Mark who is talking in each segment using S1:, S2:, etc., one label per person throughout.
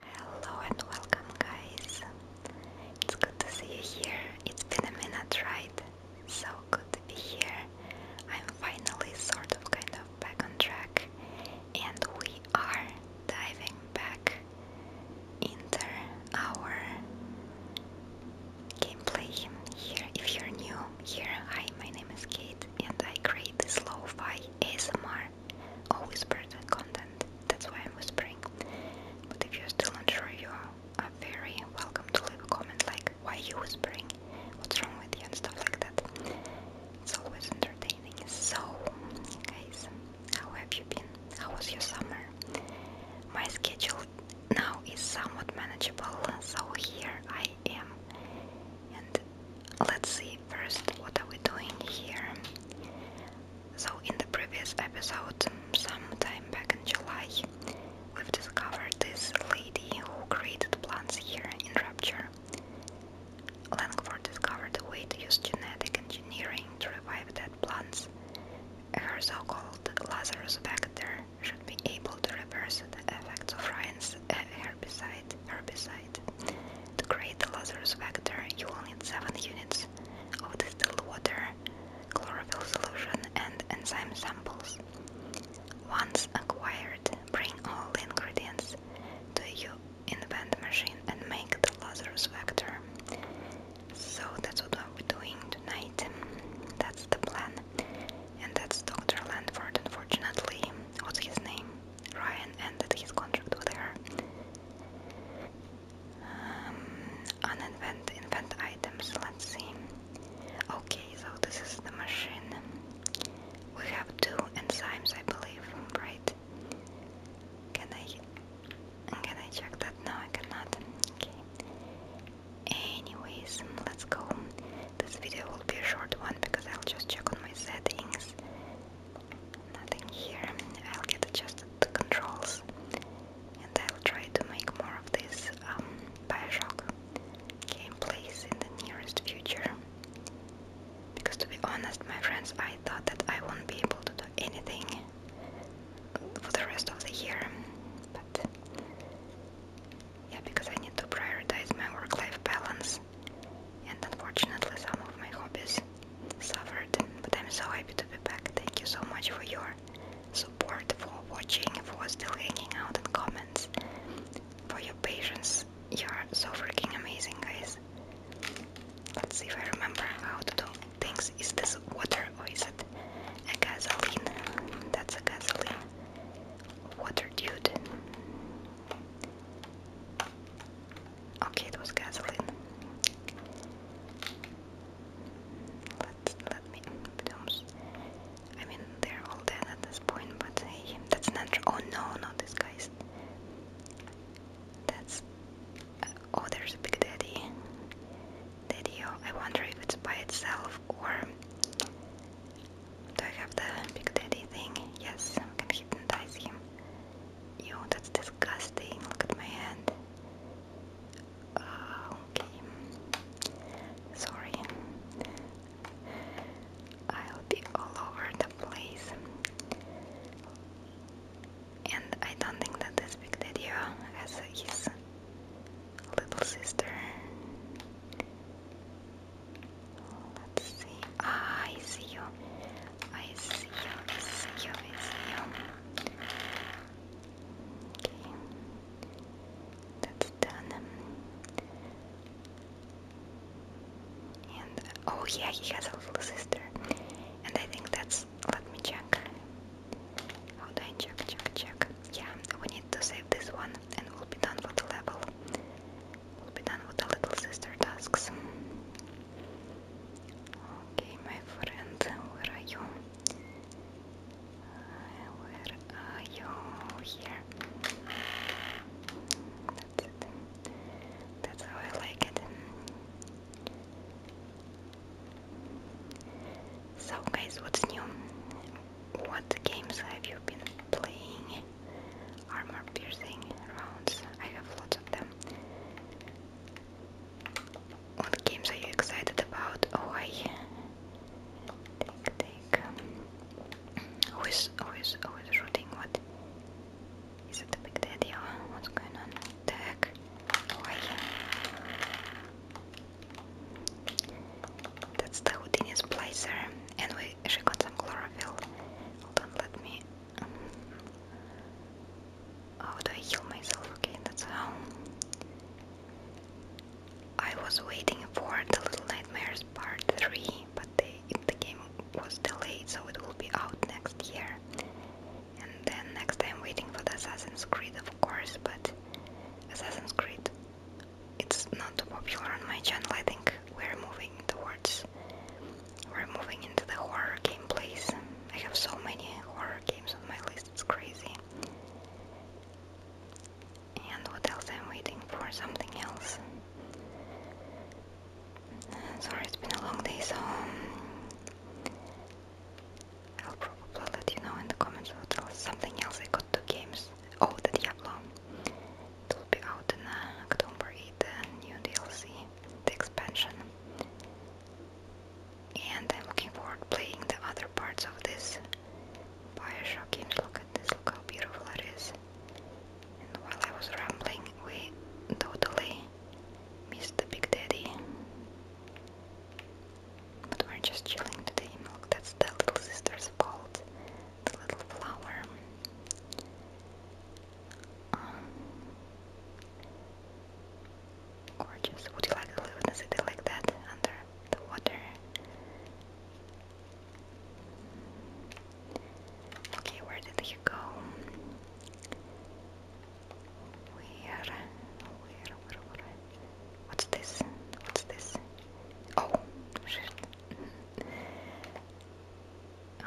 S1: Hello and welcome guys. It's good to see you here. It's been a minute, right? So good to be here. I'm finally sort of kind of back on track and we are diving back into our gameplay here. If you're new here, hi, my name is Kate and I create this lo-fi ASMR more or whispered content. That's why I'm whispering. But if you're still unsure, you are very welcome to leave a comment like, why are you whispering? What's wrong with you? And stuff like that. It's always entertaining. So, guys, how have you been? How was your summer? My schedule now is somewhat manageable, so here I am. And let's see first what are we doing here. So in the previous episode, some time back in July, we've discovered this lady who created plants here in Rapture. Langford discovered the way to use genetic engineering to revive dead plants. Her so-called Lazarus Bacter should be able to reverse the effects of Ryan's eh, herbicide, herbicide to create the Lazarus vector, you will need 7 units of distilled water, chlorophyll solution, and enzyme samples. Once acquired, bring all the ingredients to your invent machine and make the Lazarus vector. So that's what we're doing tonight. That's the plan. And that's Dr. Landford, unfortunately. What's his name? Ryan ended his contract with her. Um, uninvent invent items let's see okay so this is the machine we have two enzymes I believe right can I can I check that no I cannot okay anyways let's go this video will be a short one because I'll just check on my settings Nothing here. I'll get adjusted to controls and I'll try to make more of this um, Bioshock gameplays in the nearest future. Because to be honest, my friends, I thought that I won't be able to do anything for the rest of the year. But yeah, because I need to prioritize my work life balance, and unfortunately, some of my hobbies suffered, but I'm so happy to be back. Thank you so much for your support, for watching, for still hanging out in comments, for your patience. You are so freaking amazing, guys. Let's see if I remember how to do things. Is this water or is it a gasoline? That's a gasoline. Water dude. Okay, it was gasoline. Let let me. I mean, they're all dead at this point, but that's an Oh no, not these guys. That's. Uh, oh, there's a big daddy. Daddy, oh, I wonder if it's by itself or. Do I have the big daddy thing? Yes, I can hypnotize him. Yo, that's disgusting. Look at my hand. Ah, okay. Sorry. I'll be all over the place. And I don't think that this big daddy uh, has his
S2: little sister.
S1: Let's see. Ah, I I see you, I see you, I see you. Okay, that's done. And oh yeah, he has a little sister. And I think that's. Let me check. How do I check? Check, check. Yeah, we need to save this one, and we'll be done with the level. We'll be done with the little sister tasks. Okay, my friend, where are you? Uh, where are you? Here. That's it. That's how I like it. So, guys, what's new? What games have you been playing? Armor piercing rounds. I have lots of them. What games are you excited about? Oh, I take take. Who is who is who is shooting? What is it? The big daddy? Or what's going on? Tag. Oh, I. That's the Houdini's placer, and we she got some chlorophyll. Hold on, let me how oh, would I heal myself? Okay, that's how. I was waiting for the Little Nightmares Part 3, but the game was delayed, so it will be out next year. And then next I'm waiting for the Assassin's Creed, of course, but Assassin's Creed, it's not too popular on my channel. I think we're moving towards we're moving into the horror game place. I have so many horror games on my list, it's crazy. And what else? I'm waiting for something else. Sorry, it's been a long day, so um, I'll probably let you know in the comments what else. Something else, I got two games. Oh, the Diablo. It will be out in uh, October the new DLC, the expansion and I'm looking forward to playing the other parts of this Bioshock game. Look at this, look how beautiful it is. And while I was rambling, we totally missed the Big Daddy. But we're just chilling today. Look, that's the little sister's fault. The little flower. Um, Gorgeous. Would you like to live city like that, under the water? Okay, where did he go? Where? Where? What's this? What's this? Oh,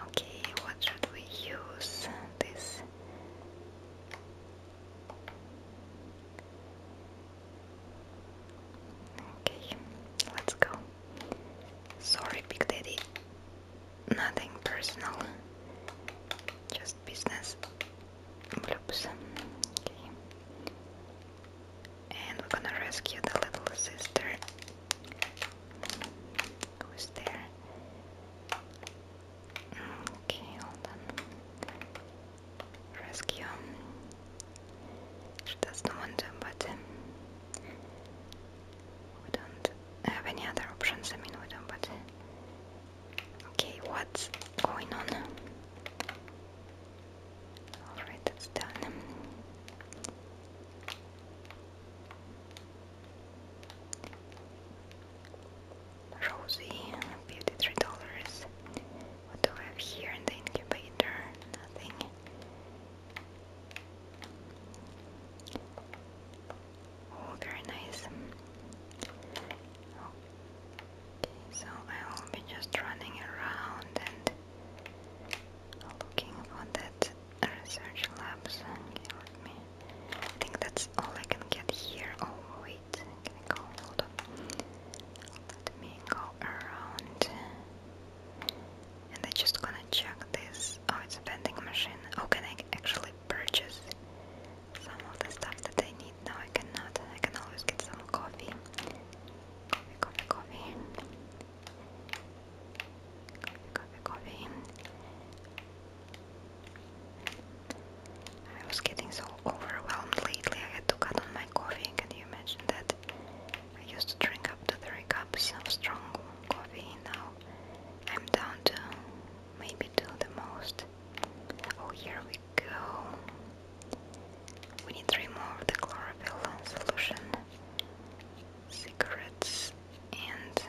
S1: Okay, what should we use? This. Okay, let's go. Sorry, Big Daddy. Nothing personal, just business. Bloops. Okay. And we're gonna rescue the little sister. Who's there? Okay, hold on. Rescue. She doesn't to, but um, we don't have any other options. I mean, we don't, but uh, okay, what's going on? Alright, that's done. Rosie, beauty three dollars. What do we have here in the incubator? Nothing. Oh, very nice. Okay, so I will be just running around and looking for that research labs. and let me I think that's all I can get here. Oh wait, can I go? Hold on. Let me go around. And I just gonna check this. Oh, it's a vending machine. Oh, can I actually purchase some of the stuff that I need? No, I cannot. I can always get some coffee. Coffee, coffee, coffee. Coffee, coffee, coffee. I was getting so overwhelmed lately, I had to cut on my coffee. Can you imagine that? I used to drink up to three cups of strong coffee, now I'm down to maybe two the most. Oh, here we go. We need three more of the chlorophyll solution, cigarettes, and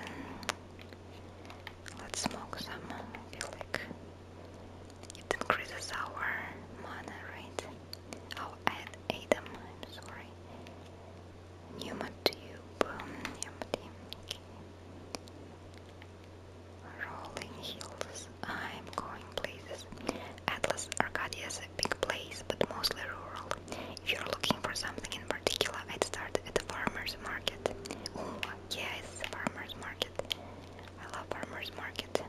S1: Let's smoke some. I it increases our mana rate. Oh, add Adam, I'm sorry. Pneumatube, um, empty. Okay. Rolling hills. I'm going places. Atlas Arcadia is a big place, but mostly rural. If you're looking for something in particular, I'd start at the farmer's market. Yes, farmer's market. I love farmer's market.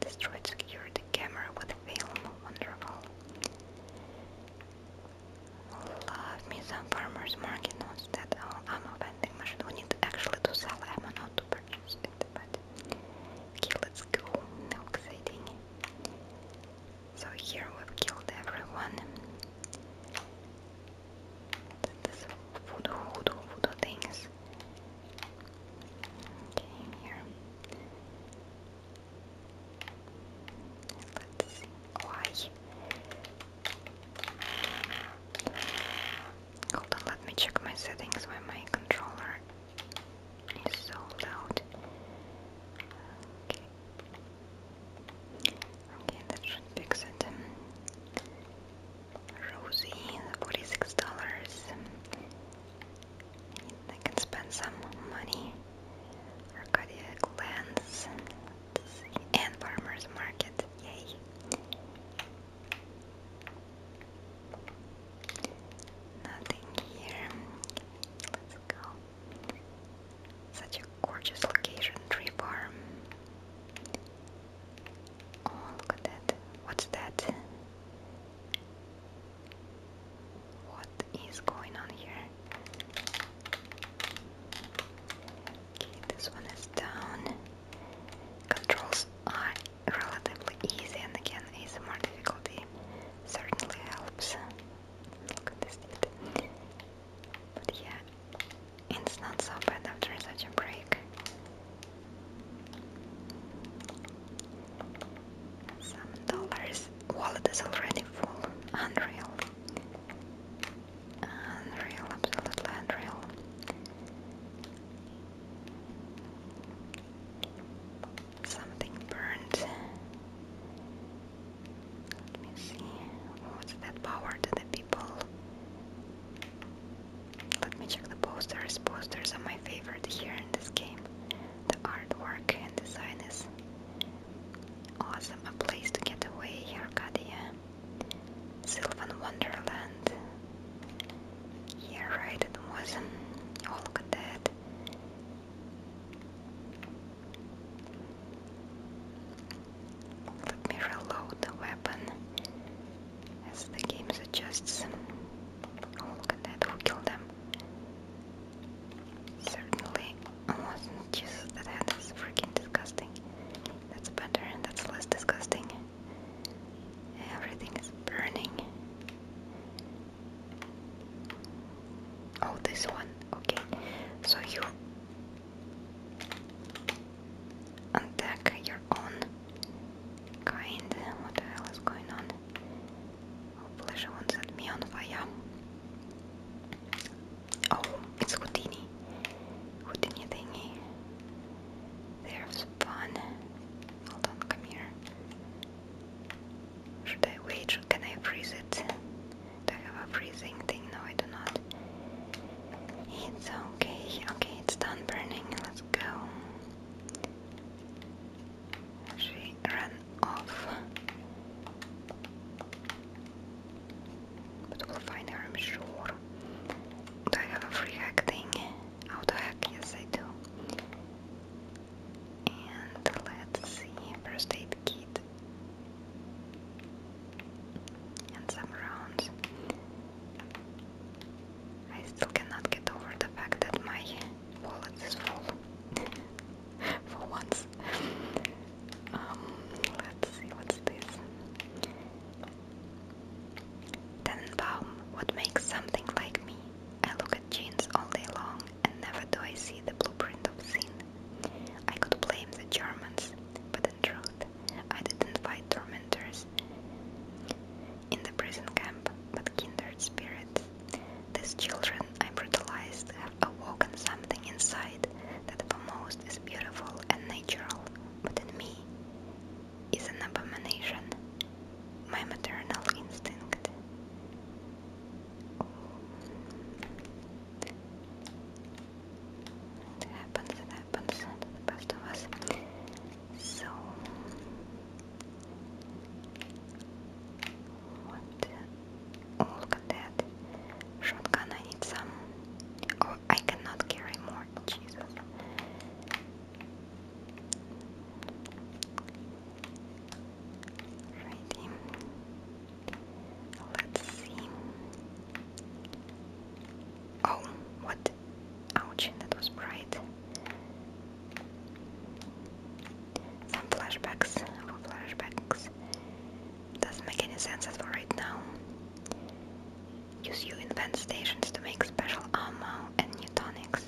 S1: Destroyed the camera with film. Wonderful. Love me some farmer's market. Not that all oh, a vending machine. We need actually to sell ammo, not to purchase it. But okay, let's go. No exciting. So here we've killed everyone. Let's see why. Hold on, let me check my settings when my controller is so loud. Okay, that should fix it. Rosie, forty-six dollars. I can spend some money. Arcadia lands and Farmers Market. Yay! Nothing here. Let's go. Such gorgeous location, tree farm. Oh, look at that. What's that? What is going on here? Okay, this one is down. Controls are relatively easy, and again, is more difficulty certainly helps. Look at this. Bit. But yeah, it's not so bad after such a break. Some dollars. Wallet is already full. Unreal. Unreal, absolutely unreal. Something burned. Let me see. What's that power to the people? Let me check the posters. Posters are my favorite here in this game. The artwork and design is awesome. A place to get away, Arcadia. Sylvan Wonderland. Yeah, right, it was. Oh, look at that. Let me reload the weapon as the game suggests. Oh, look at that, who killed them? Certainly wasn't Jesus, that hand is freaking disgusting. That's better and that's less disgusting. Everything is burning. Oh, this one. Okay, so you attack your own kind. What the hell is going on? Oh, pleasure won't on fire. Oh, it's Houdini. Houdini thingy. There's fun. Hold on, come here. Should I wait? can I freeze it? Do I have a freezing thing? No, I do not. It's okay. Okay, it's done burning. Let's go. She ran off. But we'll find her, I'm sure. Do I have free hack Auto hack? Yes, I do. And let's see. First aid kit. And some rounds. I still cannot get over the fact that my wallet is full for once. Um, let's see what's this. Then Baum, what makes something like me? I look at jeans all day long and never do I see the blueprint of sin. I could blame the Germans, but truth. I didn't fight tormentors in the prison camp, but kindred spirits. These children I brutalized have awoken something inside that for most is beautiful and natural, but in me is an abomination, my maternal instinct. It happens, it happens to the best of us. So, oh, look at that. Shotgun, I need some. Oh, I cannot carry more. Jesus. Let's see. Oh, what? Ouch, that was bright. Some flashbacks, more flashbacks. Doesn't make any sense at all right now. Use you invent stations to make special armor and new tonics.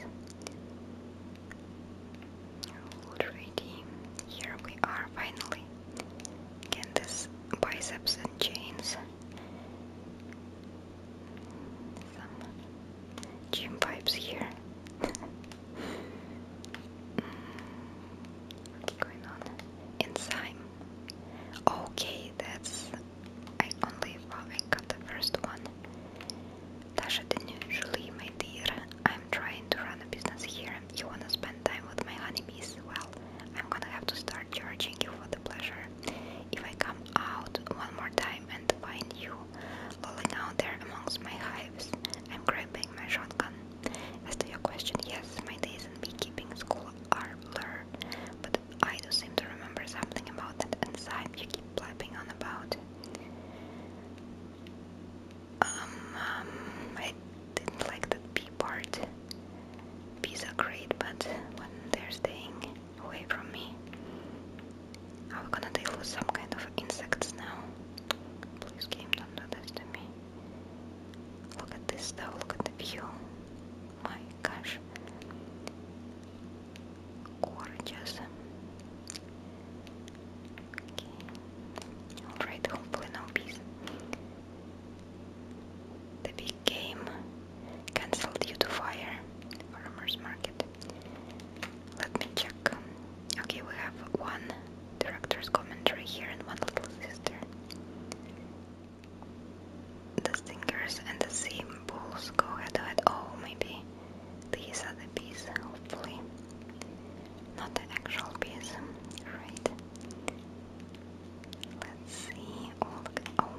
S1: Already, here we are finally. Again, this biceps and chains some gym pipes here. Mm, what's going on? Enzyme. Okay, that's. I only well, I got the first one. Dasha Julie, my dear, I'm trying to run a business here. You wanna spend time with my honeybees? Well, I'm gonna have to start charging you for the pleasure. If I come out one more time and find you lolling out there amongst my hives, I'm grabbing my shotgun. As to your question, yes, my days in beekeeping school are blurred, but I do seem to remember something about that enzyme you keep blabbing on about. Um, um, I didn't like that bee part. Bees are great, but when they're staying away from me, I'm gonna deal some kind of insects now. Please, game, don't do this to me. Look at this though, look at the view. My gosh. Gorgeous. Okay. Alright, hopefully no bees. The big game cancelled due to fire. Farmers market. Let me check. Okay, we have one director's commentary here and one little sister. The stingers and the sea bulls go head head. Oh, maybe these are the bees, hopefully. Not the actual bees, right? Let's see. Oh, oh.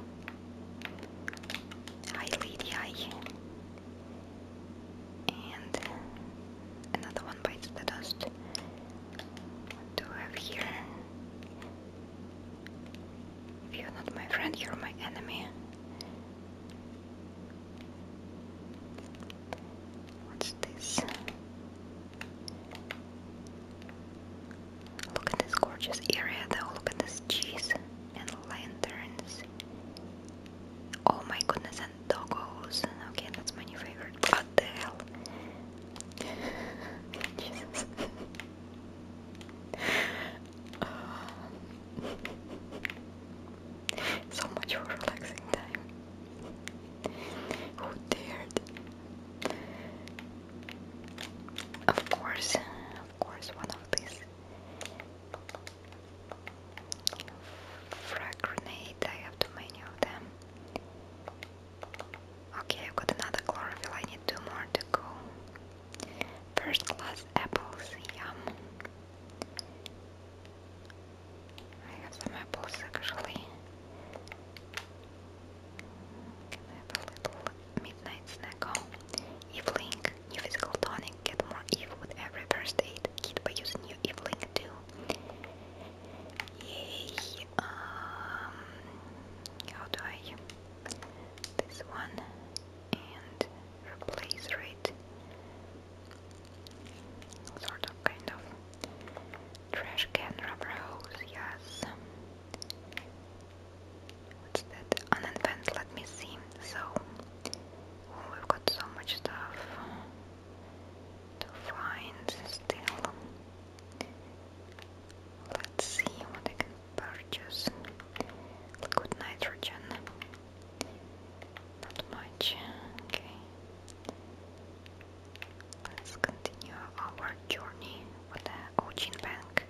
S1: Hi, lady. And another one bites the dust. What do I have here? If you're not my friend, you're my enemy. What's this? Look at this gorgeous area though, look at this cheese and lanterns. Oh my goodness, and doggos. Okay, that's my new favorite. What the hell? Jesus. so much for relaxing time. Who dared? Of course, of course, one of these frag grenades. I have too many of them. Okay, I've got another chlorophyll. I need two more to go. First class apples, yum. I have some apples actually. Can I have a little midnight snack? Oh, Evelink, new physical tonic. Get more Eve with every first aid kit by using new Evelink too. Yay! Um, how do I? This one and replace rate. Sort of, kind of. Trash can rubber yes. What's that? Unadvanced, let me see. So, oh, we've got so much stuff to find still. Let's see what I can purchase. Liquid nitrogen. Not much. Okay. Let's continue our journey. What Ogin Bank.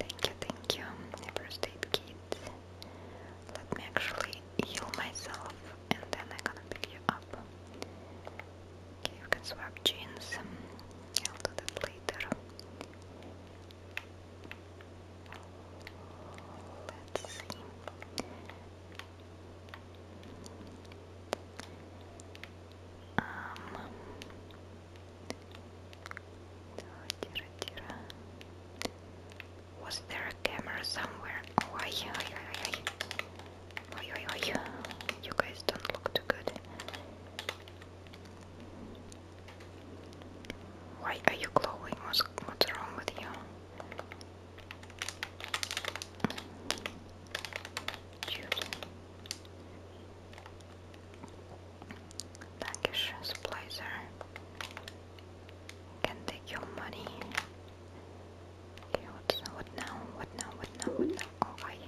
S1: Thank you, thank you, Neighbor State Kids. Let me actually heal myself and then I'm gonna pick you up. Okay, you can swap jeans. I'll do that later. Let's see. Um, was there a camera somewhere? Oh, I, I, I, I. Oi, oi, oi. You guys don't look too good. Why are you glowing? What's, what's wrong with you? Bankish supplier can take your money. Okay, what, what now? What now? What now? What now? Okay.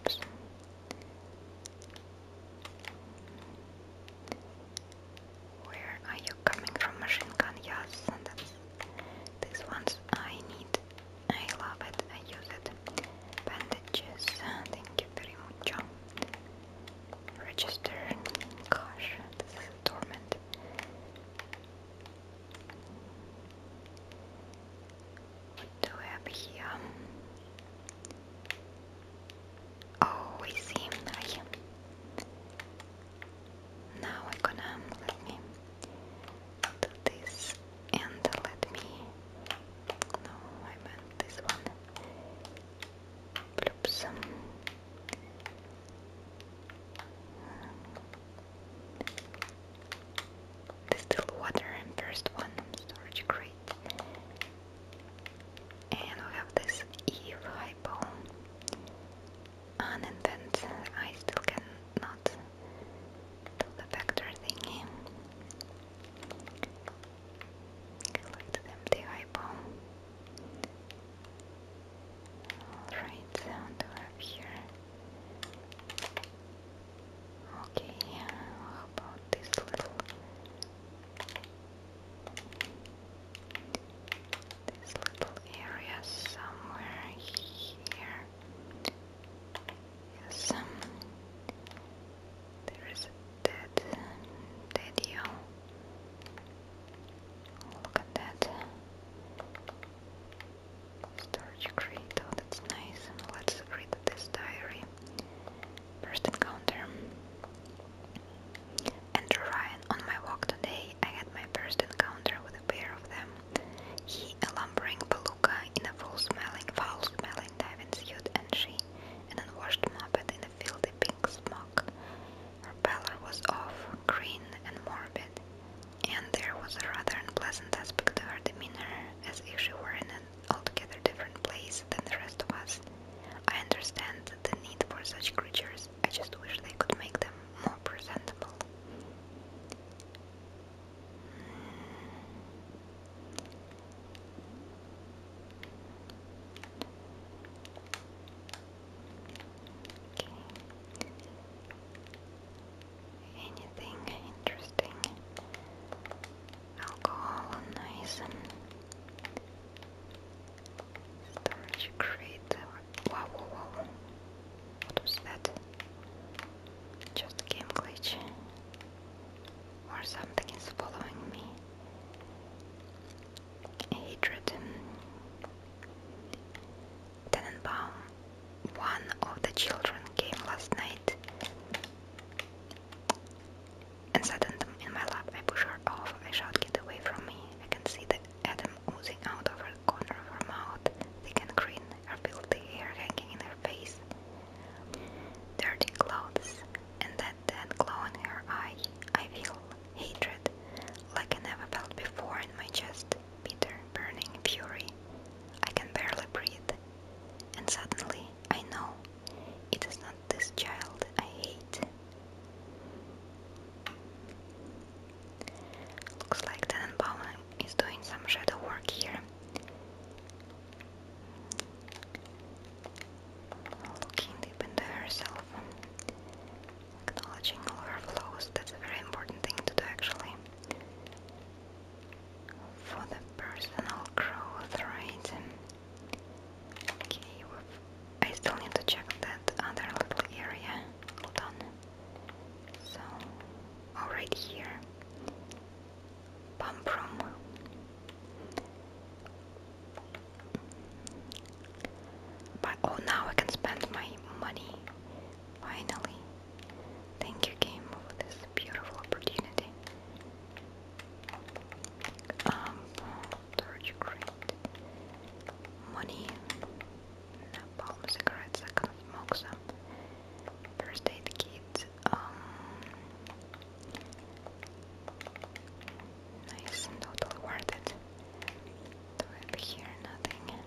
S1: Oops. Where are you coming from, machine gun? Yes, that's, this one's I need I love it, I use it. Bandages, uh, thank you very much. Register, gosh, this is a torment. What do we have here? Oh, we see. I, now I'm gonna let me to this and let me no I meant this one Oops. Distilled water and first one storage crate and we have this Eve hypo uninvented I still cannot the vector thingy. Collect the eyeball. Alright, so what have here? Okay, about this little this little area somewhere here? Yes. Um, there is a dead daddy Look at that. Storage crate, oh, that's nice. Let's read this diary. First encounter. Andrew Ryan, on my walk today, I had my first encounter with a pair of them. He, a lumbering beluga in a foul-smelling, foul-smelling diving suit, and she, an unwashed muppet in a filthy pink smock. Her pallor was off, green and morbid, and there was a rather unpleasant aspect to her demeanor, as if she were in an altogether different place than the rest of us. I understand the need for such creatures, I just wish they could make them more presentable. Okay. Anything interesting? Alcohol and nice and storage crate. Wow, wow, wow. that? Just game glitch or something is following me. Hatred. Tenenbaum. One of the children came last night and suddenly in my lap. I push her off. I shout, get away from me. I can see the atom oozing out of her corner of her mouth, thick and green, her filthy hair hanging face, dirty clothes, and that dead glow in her eye. I feel hatred like I never felt before in my chest, bitter, burning fury. I can barely breathe, and suddenly I know it is not this child I hate. Looks like Tenenbaum is doing some shadow work here. Looking deep into herself, acknowledging all her flaws, that's a very important thing to do actually. For the personal growth, right? Okay, I still need to check that other little area. Hold on. So, oh, here. Pumprum But oh now I can spend my money finally. Thank you game for this beautiful opportunity. Um Torch Crate Money Napalm cigarettes I can smoke some First aid kit um, nice totally worth it. Do it here, nothing.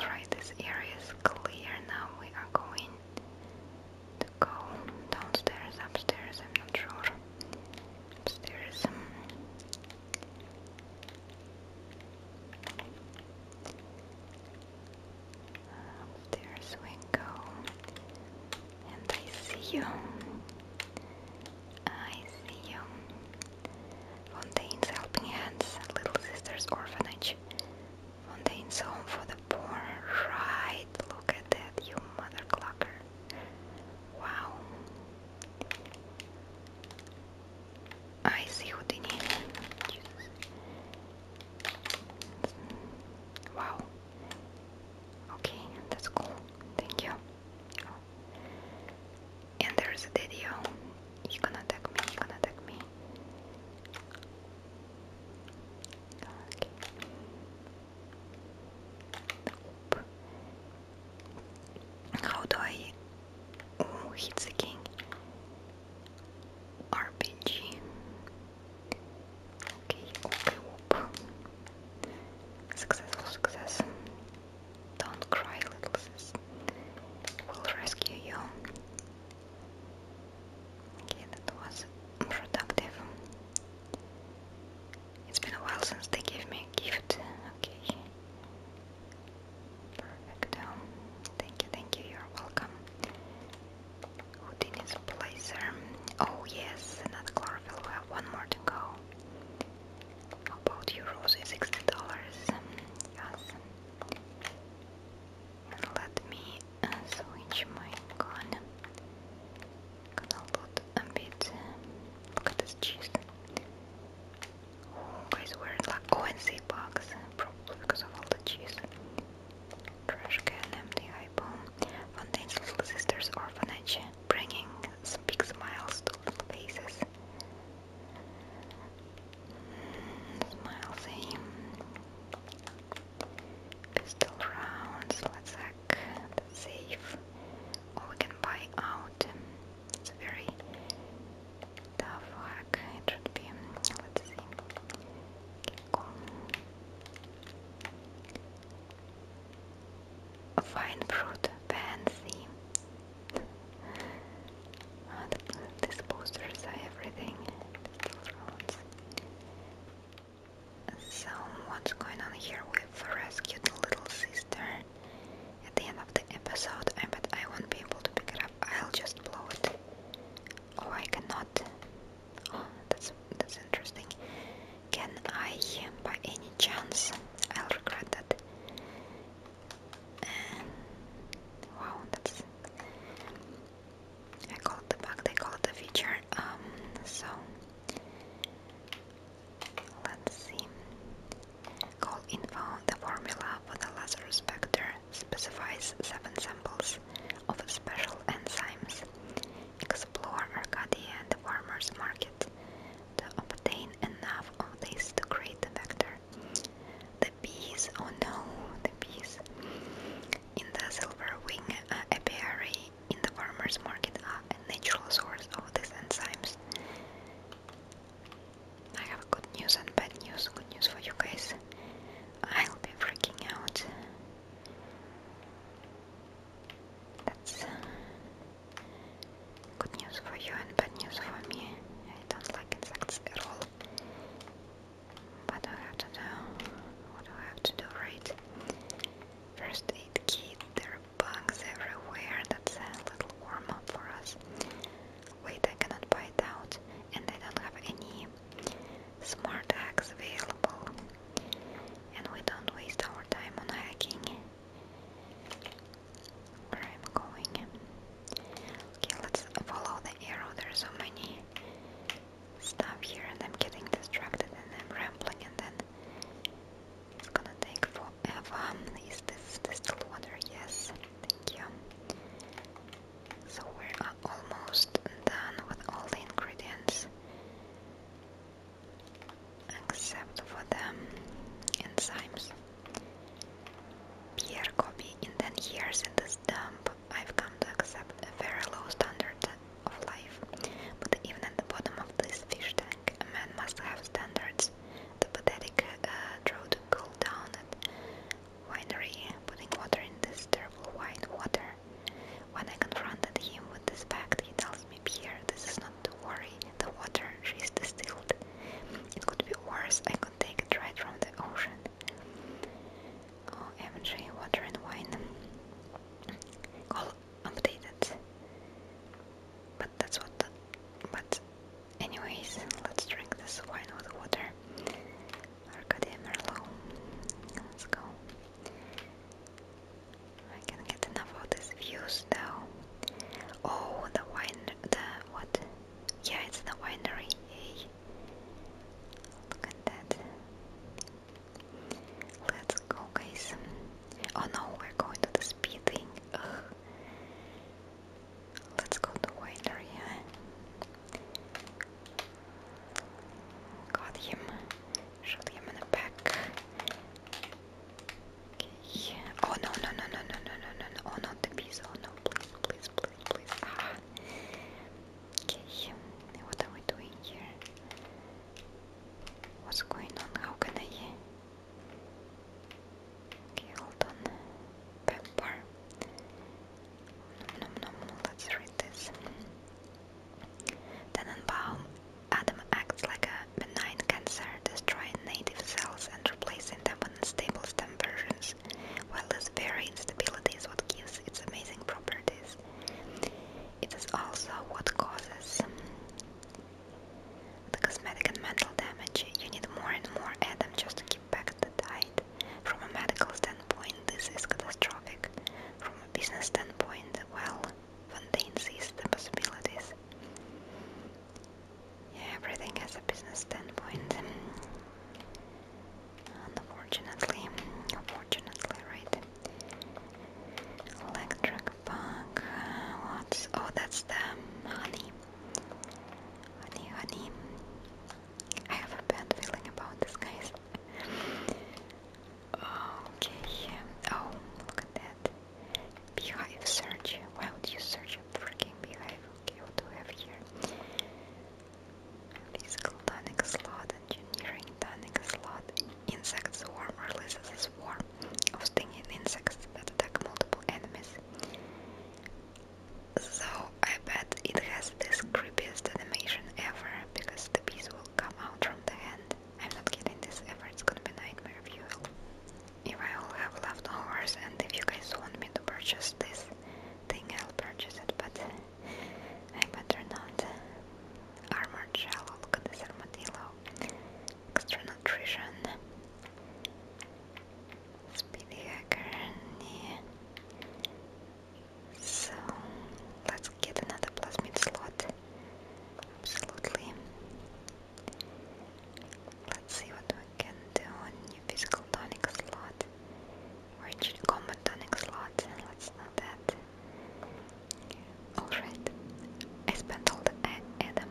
S1: Alright, this area is clear. Now we are going to go downstairs, upstairs, I'm not sure. Upstairs. Um, up there's Wingo. And I see you. I see you. Fontaine's Helping Hands, Little Sisters Orphanage. Fontaine's Home for the Poor. Right, look at that, you mother clocker. Wow. I see who they need. Wow. Okay, that's cool. Thank you. And there's a video. gonna attack me, He's gonna attack me. Okay. How do I oh, hit the king? RPG. Okay, okay, whoop. Successful success. Don't cry, little sis. We'll rescue you. Okay, that was productive. It's been a while since they gave me a gift. Okay. Perfect. Thank you, thank you, you're welcome. Houdini's Placer. Oh yes, another chlorophyll. We have one more to go. about euros, Rosie? Sixty dollars. Yes. let me switch my gun. Gonna bit. Look at this cheese. Oh, guys, we Oh, and save bugs, probably because of all the cheese. Trashcan, empty eyeball, Fontaine's Little Sisters Orphanage, bringing big smiles to little faces. Mm, smile thing. Pistol rounds, let's hack safe. Or we can buy out. It's very tough work. It should Let's see. Cool. Fine fruit fancy. oh, the, these everything. So what's going on here? we rescued little sister. At the end of the episode, I bet I won't be able to pick it up. I'll just blow it. Oh, I cannot. Oh, that's that's interesting. Can I, by any chance? I'll regret that. Um, wow, that's. I call it the bug. They call it the feature. Um, so let's see. Call info the formula for the Lazarus Spectre specifies seven samples of special enzymes. Explore Arcadia and the farmer's market to obtain enough of this to create the vector. The bees, oh no, the bees. In the silver wing uh, apiary in the farmer's market are a natural source of these enzymes. I have good news and bad news. Good news for you guys. I'll be freaking out. That's uh, good news for you and bad news for me. I don't like insects at all. But I have to do? What do I have to do, right? First aid kit, there are bugs everywhere. That's a little warm up for us. Wait, I cannot buy out, and I don't have any smart hacks available and we don't waste our time on hacking. Where I'm going. Okay, let's follow the arrow. There's so many stuff here and I'm getting distracted and I'm rambling and then it's gonna take forever. Is this distilled water? Yes. Thank you. So we are almost done with all the ingredients except for the enzymes. Pierre copy. in 10 years in this dump, I've come to accept a very low standard of life. But even at the bottom of this fish tank, a man must have standards. The pathetic uh, to cool down it winery, putting water in this terrible wine water. When I confronted him with this fact, he tells me, Pierre, this is not to worry, the water, she is distilled. It could be worse, I could take it right from the ocean. Oh, MJ, water and wine. All updated. But that's what the, But anyways, let's drink this wine with water. Arcadia Merlot. Let's go. I can get enough of these views though. Oh, the wine, the what? Yeah, it's the winery. Look at that. Let's go, guys. Oh no, we're going to the speed thing. Let's go to winery. Got him. Shot him in the back. Okay. Oh no no no no no no no no no! Oh not the piece! Oh no! Please please please please! Ah. Okay. What are we doing here? What's going on? How can I? Okay, hold on. Pepper. Then nom, let Adam acts like a benign cancer, destroying native cells and replacing them with unstable stem versions, while this very instability is what gives its amazing properties. It is also what causes the cosmetic and mental damage. You need more and more Adam just to keep back the tide. From a medical standpoint, this is catastrophic. From a business standpoint, well, Fontaine sees the possibilities. everything has a business standpoint. Unfortunately, unfortunately, right? Electric bug. Uh, oh, that's the honey. Honey, honey. I have a bad feeling about this, guys. Okay. Oh, look at that. Beehive search. Why would you search a freaking beehive? Okay, what do we have here? Physical tonic slot, engineering tonic slot, insect swarm releases swarm of stinging insects that attack multiple enemies. So I bet it has the creepiest animation ever, because the piece will come out from the hand. I'm not kidding this ever, it's gonna be nightmare fuel. If I will have leftovers and if you guys want me to purchase this thing, I'll purchase it, but I better not. Armored shell, look at this armadillo. Extra nutrition. Speedy hacker, so let's get another plasmid slot. Absolutely. Let's see what we can do on new physical tonic slot. Or actually combat tonic slot. Let's not that. Alright. I spent all the Adam.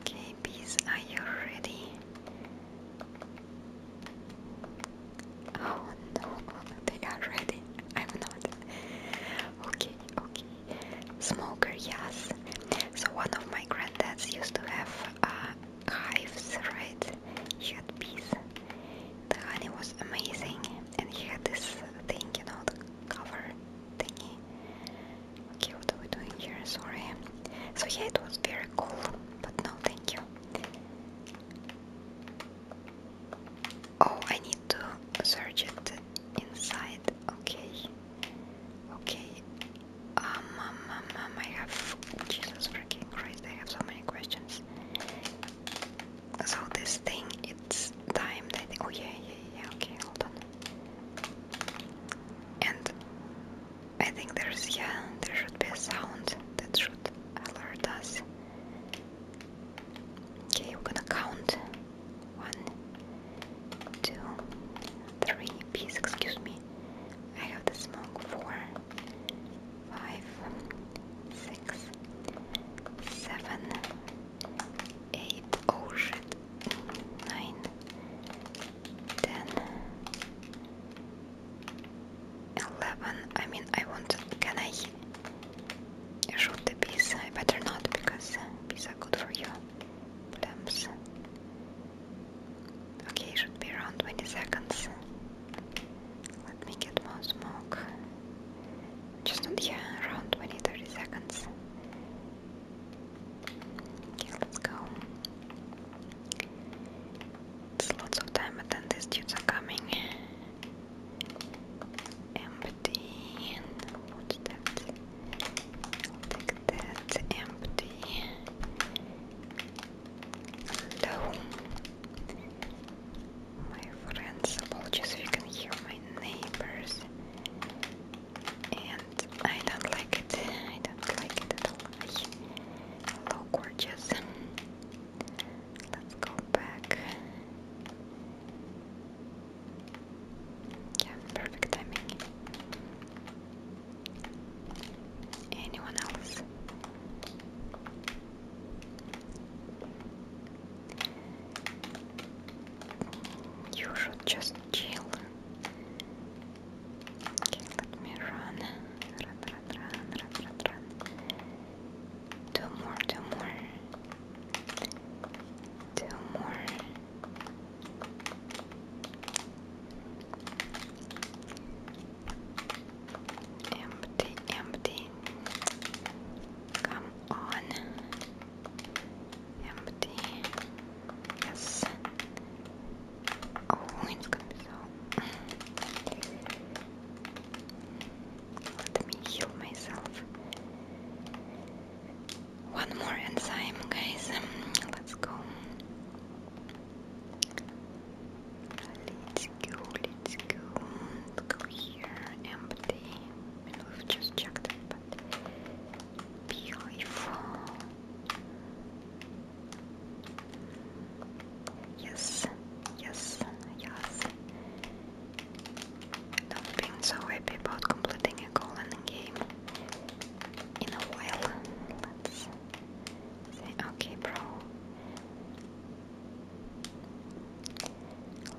S1: Okay, bees, are you ready? Oh no, they are ready. I'm not. Okay, okay. Smoker, yes. So one of my granddads used to have uh, hives, right? He had bees. The honey was amazing, and he had this thing, you know, the cover thingy. Okay, what are we doing here? Sorry. So yeah, it was very cool, but no, thank you. Oh, I need to search it inside. Okay, okay. Um, um, um, um I have Jesus freaking Christ! I have so many questions. So this thing, it's timed. I Oh yeah, yeah, yeah. Okay, hold on. And I think there's, yeah, there should be a sound that should alert us. Okay, we're gonna count. One, two, three. Please excuse me. I have the smoke. Four, five, six, seven, eight. Oh shit. Nine, ten, Eleven. I mean, I want. can I shoot the bees? I better not because bees are good for you. Plums. Okay, should be around 20 seconds. Let me get more smoke. Just not yeah, around 20 30 seconds. Okay, let's go. It's lots of time, but then these dudes are coming. Empty. What's take that. Empty. Hello. My friends, apologies if you can hear my neighbors. And I don't like it. I don't like it at all. Hello, gorgeous. Let's go back. Yeah, perfect timing. Anyone else? You should just chill. let me Run, Two more, two more. Two more. Empty, empty. Come on. Empty. Yes. Воинском oh, писал. Let me heal myself. One more enzyme, guys. Let's go. Let's go, let's go. go here. Empty. we've just checked it, but beautiful. Yes, yes, yes. I've been so happy about completing a goal game in a while. Let's say, okay, bro.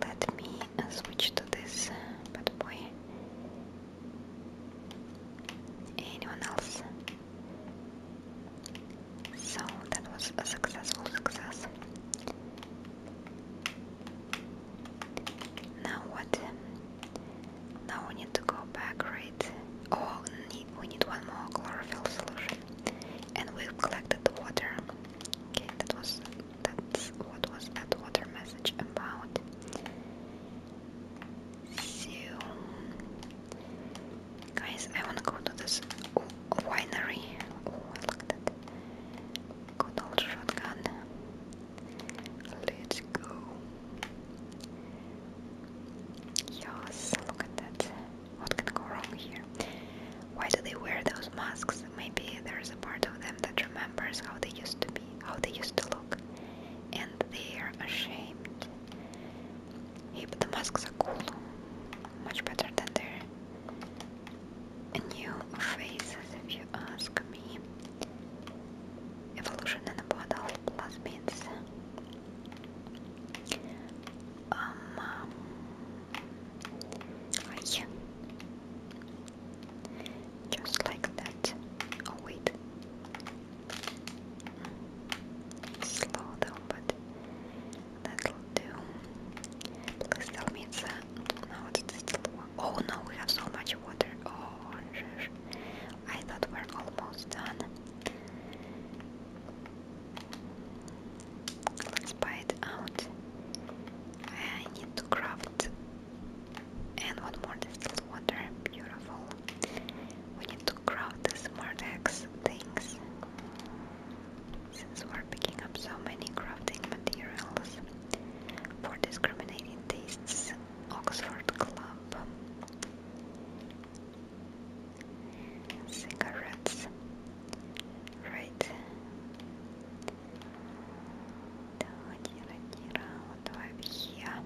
S1: Let me uh, switch to this uh, bad boy. Anyone else? So that was a successful success. Now what? Now we need to go back, right? Oh, we need one more chlorophyll solution, and we've collected the water. Okay, that was that's what was that water message about. So Guys, I wanna go to this winery. Oh, I like that. Good old shotgun. Let's go. Yes, look at that. What can go wrong here? Why do they wear those masks? Maybe there's a part of them that remembers how they used to be, how they used to look, and they are ashamed. Hey, but the masks are cool. Much better than their new faces, if you ask me. Evolution in a bottle plus beans. Um, um yeah. Just like that. Oh wait. Slow though, but That'll do. Please tell me it's uh, Oh no, we have so much water. Oh, I thought we're almost done. Let's buy it out. I need to craft... And one more distilled water. Beautiful. We need to craft the smart X things. Since we're picking up so many crafting materials for discriminating tastes, Oxford Club cigarettes, right? What do I have here?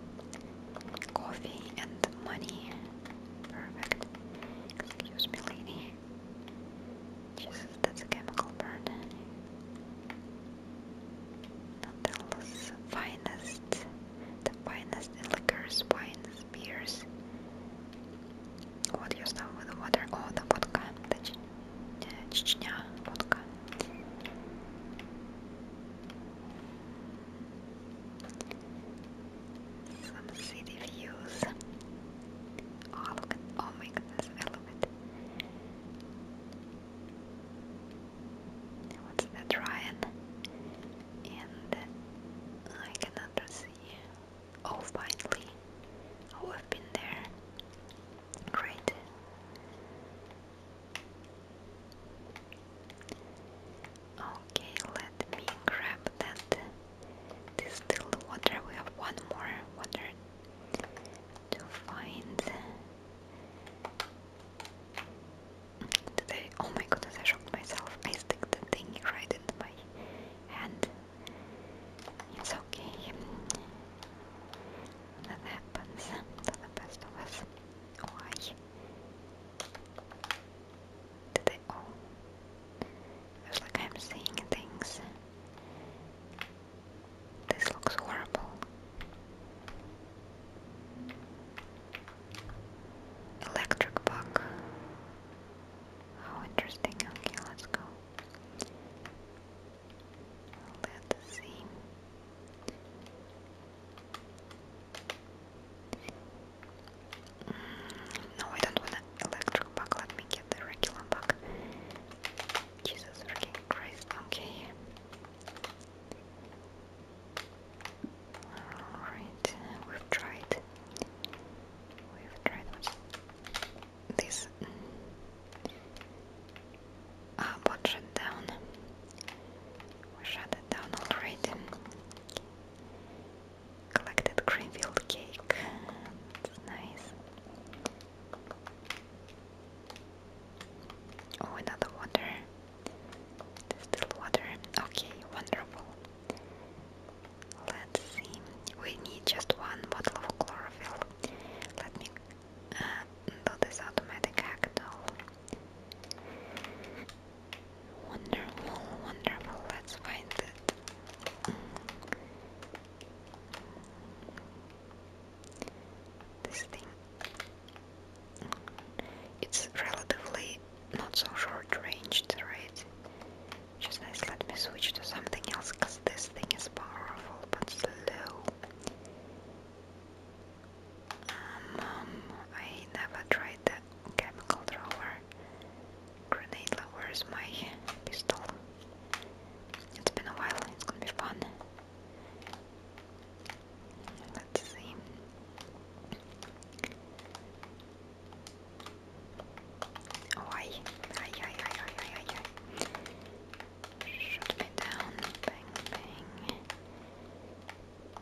S1: Coffee and money. Perfect. Excuse me, lady. Jesus, that's a chemical burden. Nutella's finest, the finest liquors, wines, beers. What you stuff with water? Oh, the vodka, the vodka. Some city views. Oh, oh goodness, I love it. What's that Ryan? And I cannot see. Oh finally. Oh have been there. Great. Okay, let me grab that distilled water. We have one more water to find. oh my goodness, I shocked myself. I stick the thing right in my hand. It's okay. That happens to the best of us. Why? to the oh feels like I'm seeing things. This looks horrible. Electric bug. How interesting. Okay, let's go. Let's see. No, I don't want an electric bug. Let me get the regular bug. Jesus freaking Christ. Okay. Alright, we've tried. We've tried this. Ah, bot shut down. We shut it down already collected Greenfield cake. It's nice. Oh, another water. Still water. Okay, wonderful. Let's see. We need just one bottle of chlorophyll. Let me do uh, this automatic hacktol. Wonderful, wonderful. Let's find this thing. It's relatively not so short ranged, right? Which nice. Let me switch to something else because this thing is powerful but slow. um, um I never tried the chemical thrower. Grenade Where's my pistol. It's been a while, it's gonna be fun. Let's see. Oh, I, I, I, I, I, I, I. me down. Bang, bang.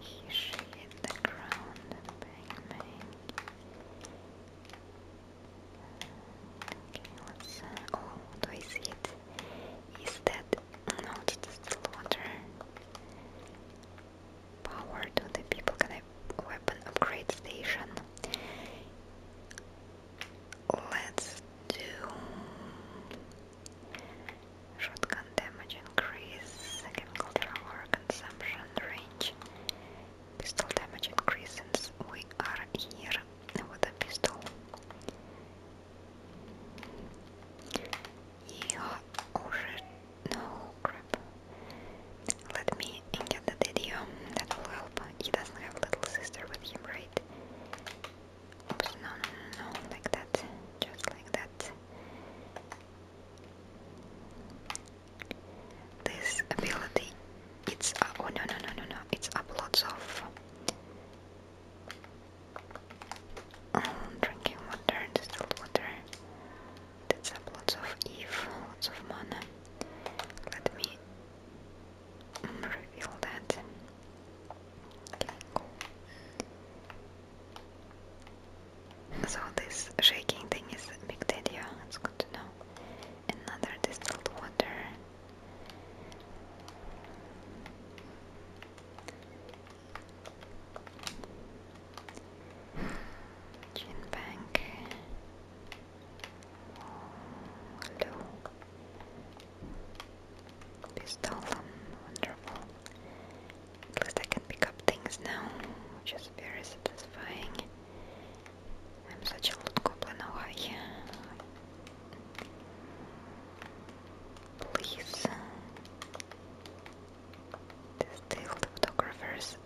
S1: He hit the ground. Bang, bang. Okay, let's. oh, do it? Is that. No, it's just water. Power to the people. Can I. Weapon upgrade station. Let's do. Shotgun damage increase, second controller consumption range, Pistol damage increases. We are here with a pistol. Yeah, oh shit. No, crap. Let me get the video. That will help. He doesn't have little sister with him, right? Oops, no, no, no, no. Like that. Just like that. This ability, it's uh, oh no no no no no, it's uploads of um, drinking water, distilled water. That's up lots of Eve, lots of mana. Let me um, reveal that. Okay, cool. So this shaking thing is a big deal. It's good to know another distilled water gin bank hello pistol, um, wonderful at least I can pick up things now which is very satisfying I'm such a good goblin, why? Please. Still photographers,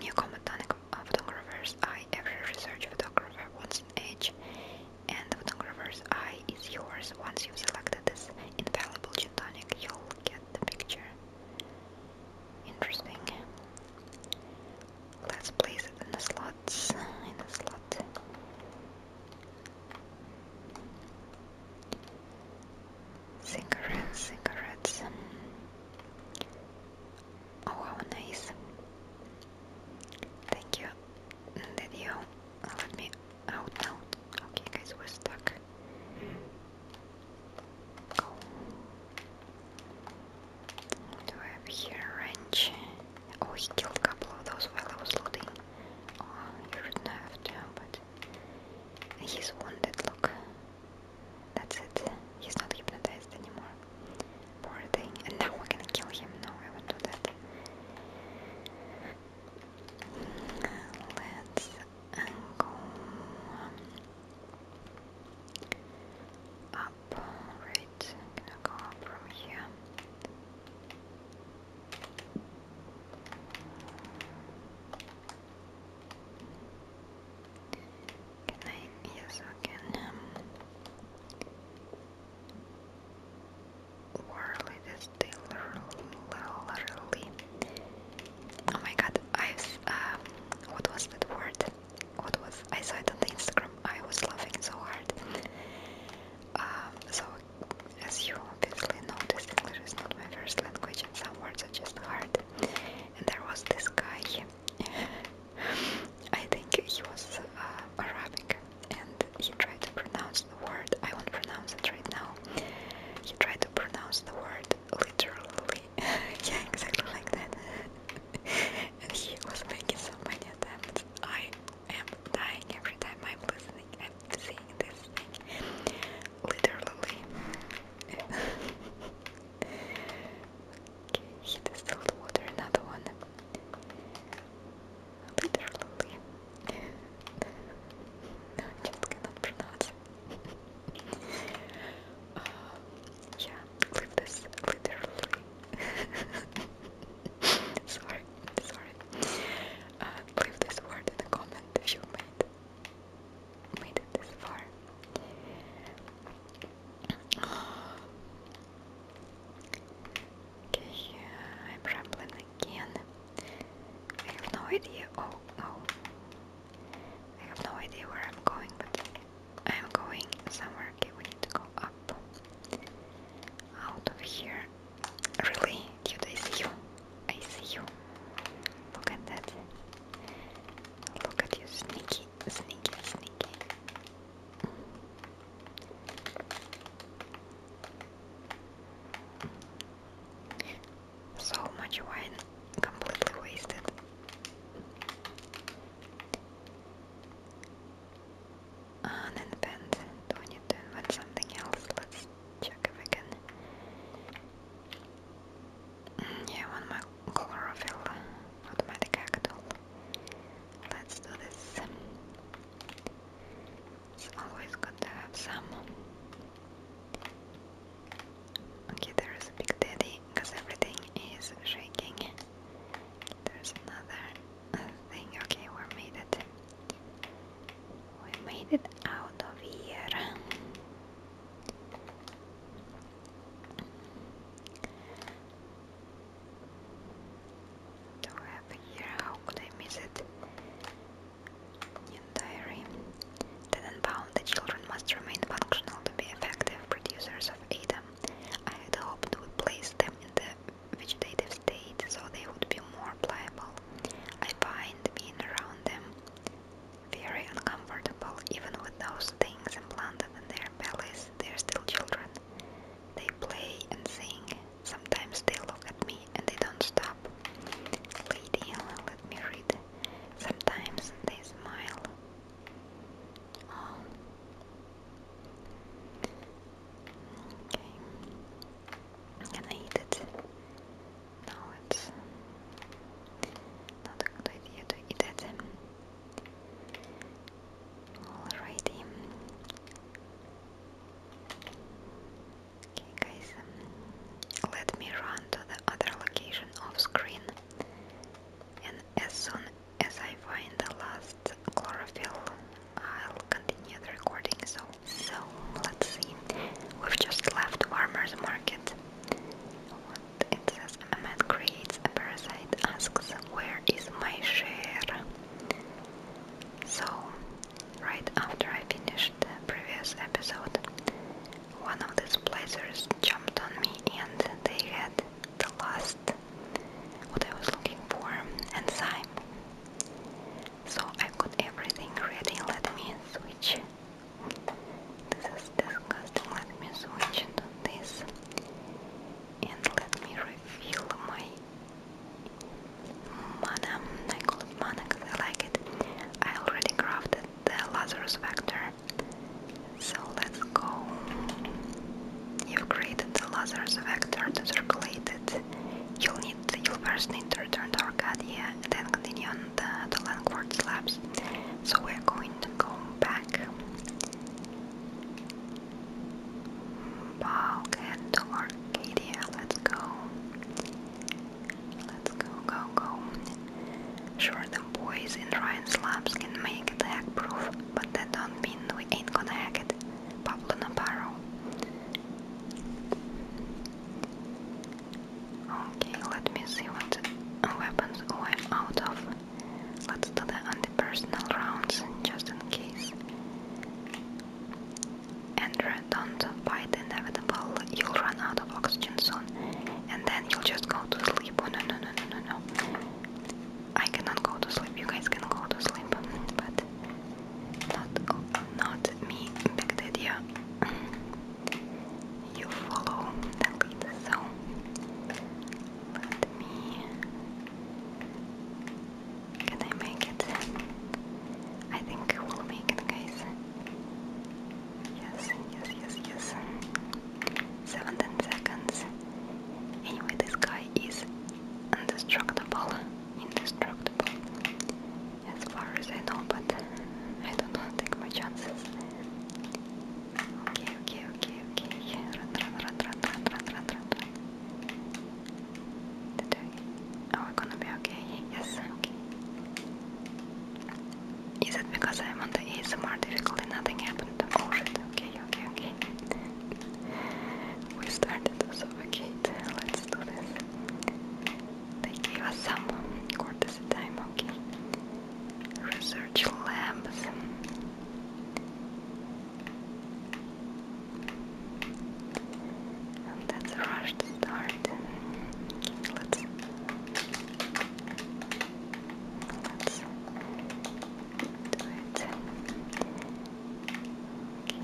S1: new combatonic uh, photographers eye, every research photographer wants an and the photographer's eye is yours. Once you've this infallible gin tonic, you'll get the picture. Interesting. Let's place it in the slots. In the slot. Cigarettes, cigarettes. Oh, how nice. Thank you. Did you let me out now? Okay, guys, we're stuck. Go. Do I have here a wrench? Oh, he killed a couple of those while I was looting. Oh, you shouldn't have to, but he's wounded, look. That's it. He's not hypnotized anymore. Poor thing. And now we're gonna kill him. No, I won't do that. Let's go. Um, Right, gonna go from here. Can I? Yes, I can. Um, Warly this day, Oh my god, I've. Uh, what was that word? what was I saw it on the Instagram. I was laughing so hard. Um, so, as you obviously know, this English is not my first language, and some words are just hard. And there was this guy. I think he was uh, Arabic, and he tried to pronounce the word. I won't pronounce it right now. He tried to pronounce the word literally yeah, exactly like that. and he was making so many attempts. I am dying every time I'm listening and seeing this thing. Literally. okay, he distilled water, another one. Literally. I just cannot pronounce uh, yeah, live this literally. sorry, sorry. Uh, leave this word in the comment if you made made it this far. Okay, I'm rambling again. I have no idea. Oh, oh. I have no idea where I'm going, I'm going somewhere. Okay, we need to go up. Out of here. Really? Dude, I see you. I see you. Look at that. Look at you, sneaky, sneaky, sneaky. So much wine completely wasted. On uh, and Do I need to invent something else? Let's check if we can. Mm, yeah, one more chlorophyll automatic actal. Let's do this. It's always good to have some. Okay, there is a big daddy because everything is shaking. There's another thing. Okay, we made it. We made it out of here. Do I here? How could I miss it? New diary. Tenenbaum, the children must remain functional to be effective producers of ADA. I had hoped we place them in the vegetative state so they would be more pliable. I find being around them very uncomfortable, even with those things implanted in their bellies, they're still children. They play and sing. Sometimes they look at me and they don't stop. Lady, let me read. Sometimes they smile. Oh. Okay. I'm eat it. No, it's not a good idea to eat it. Alrighty. Okay, guys, um, let me run to the other location off screen, and as soon as I find the last chlorophyll, I'll continue the recording. So, so let's see. We've just left Farmer's Market. What it says, a man creates a parasite, asks, Where is my share? So, right after I finished the previous episode, one of these blazers jumped on me and they had the last what I was looking for, and sign. So I've got everything ready. Let me switch. This is disgusting. Let me switch into this and let me refill my mana. I call it mana because I like it. I already crafted the Lazarus Vector. So let's go. You've created the Lazarus vector to circulate it. You'll need you'll first need to return to Arcadia, then continue on the, the landward slabs. So we're going to go back. Bulk to Arcadia, let's go. Let's go, go, go. Sure, the boys in Ryan's labs can make attack proof but that don't mean we ain't gonna hack it. Pablo Navarro. Okay, let me see what weapons we're out of. Let's do the anti-personal rounds just in case. Andrea, don't fight the inevitable. You'll run out of oxygen soon, and then you'll just go to sleep. Oh no no no no no no. I cannot go to sleep. You guys can go to sleep, but not not me, Big You follow the lead, so let me. Can I make it? I think I will make it, guys. Yes, yes, yes, yes. 17 seconds. Anyway, this guy is indestructible. Indestructible. As far as I know, but I don't want to take my chances. Okay, okay, okay, okay. Run, run, run, run, run, run, run, run. Did I? Are oh, we gonna be okay? Yes, okay. Is it because I'm on the ASMR difficulty? Nothing happened. Oh shit, okay, okay, okay. We started to suffocate. Let's do this. They gave us some courtesy time, okay? Research labs. that's a rush to start. Let's let's Right.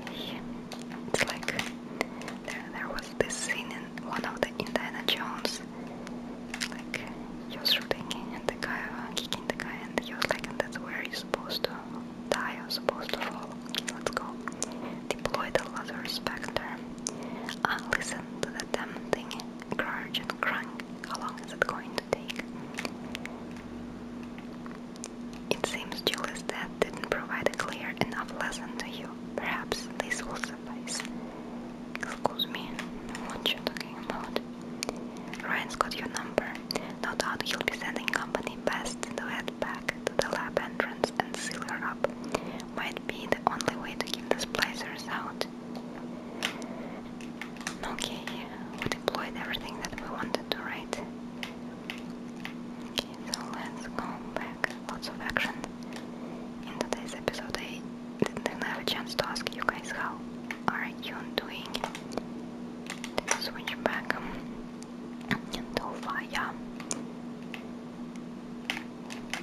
S1: Okay. It's like there, was this scene in one of the Indiana Jones, like he was shooting and the guy uh, kicking the guy, and he was like, that's where you're supposed to die, you're supposed to fall. let's go. Deploy the leather specter. Uh, listen to that damn thing, Grudge and Crank. How long is it going to take? It seems Julie's death didn't provide a clear enough lesson to you. Perhaps this will suffice. Excuse me, what are you talking about? Ryan's got your number. No doubt he'll be sending company in the head back to the lab entrance and seal her up. Might be the only way to keep these blazers out. Okay, we deployed everything that we wanted to, write. Okay, so let's go back. Lots of action. In today's episode, I didn't have a chance to ask you guys how are you doing. switch back to Vaya.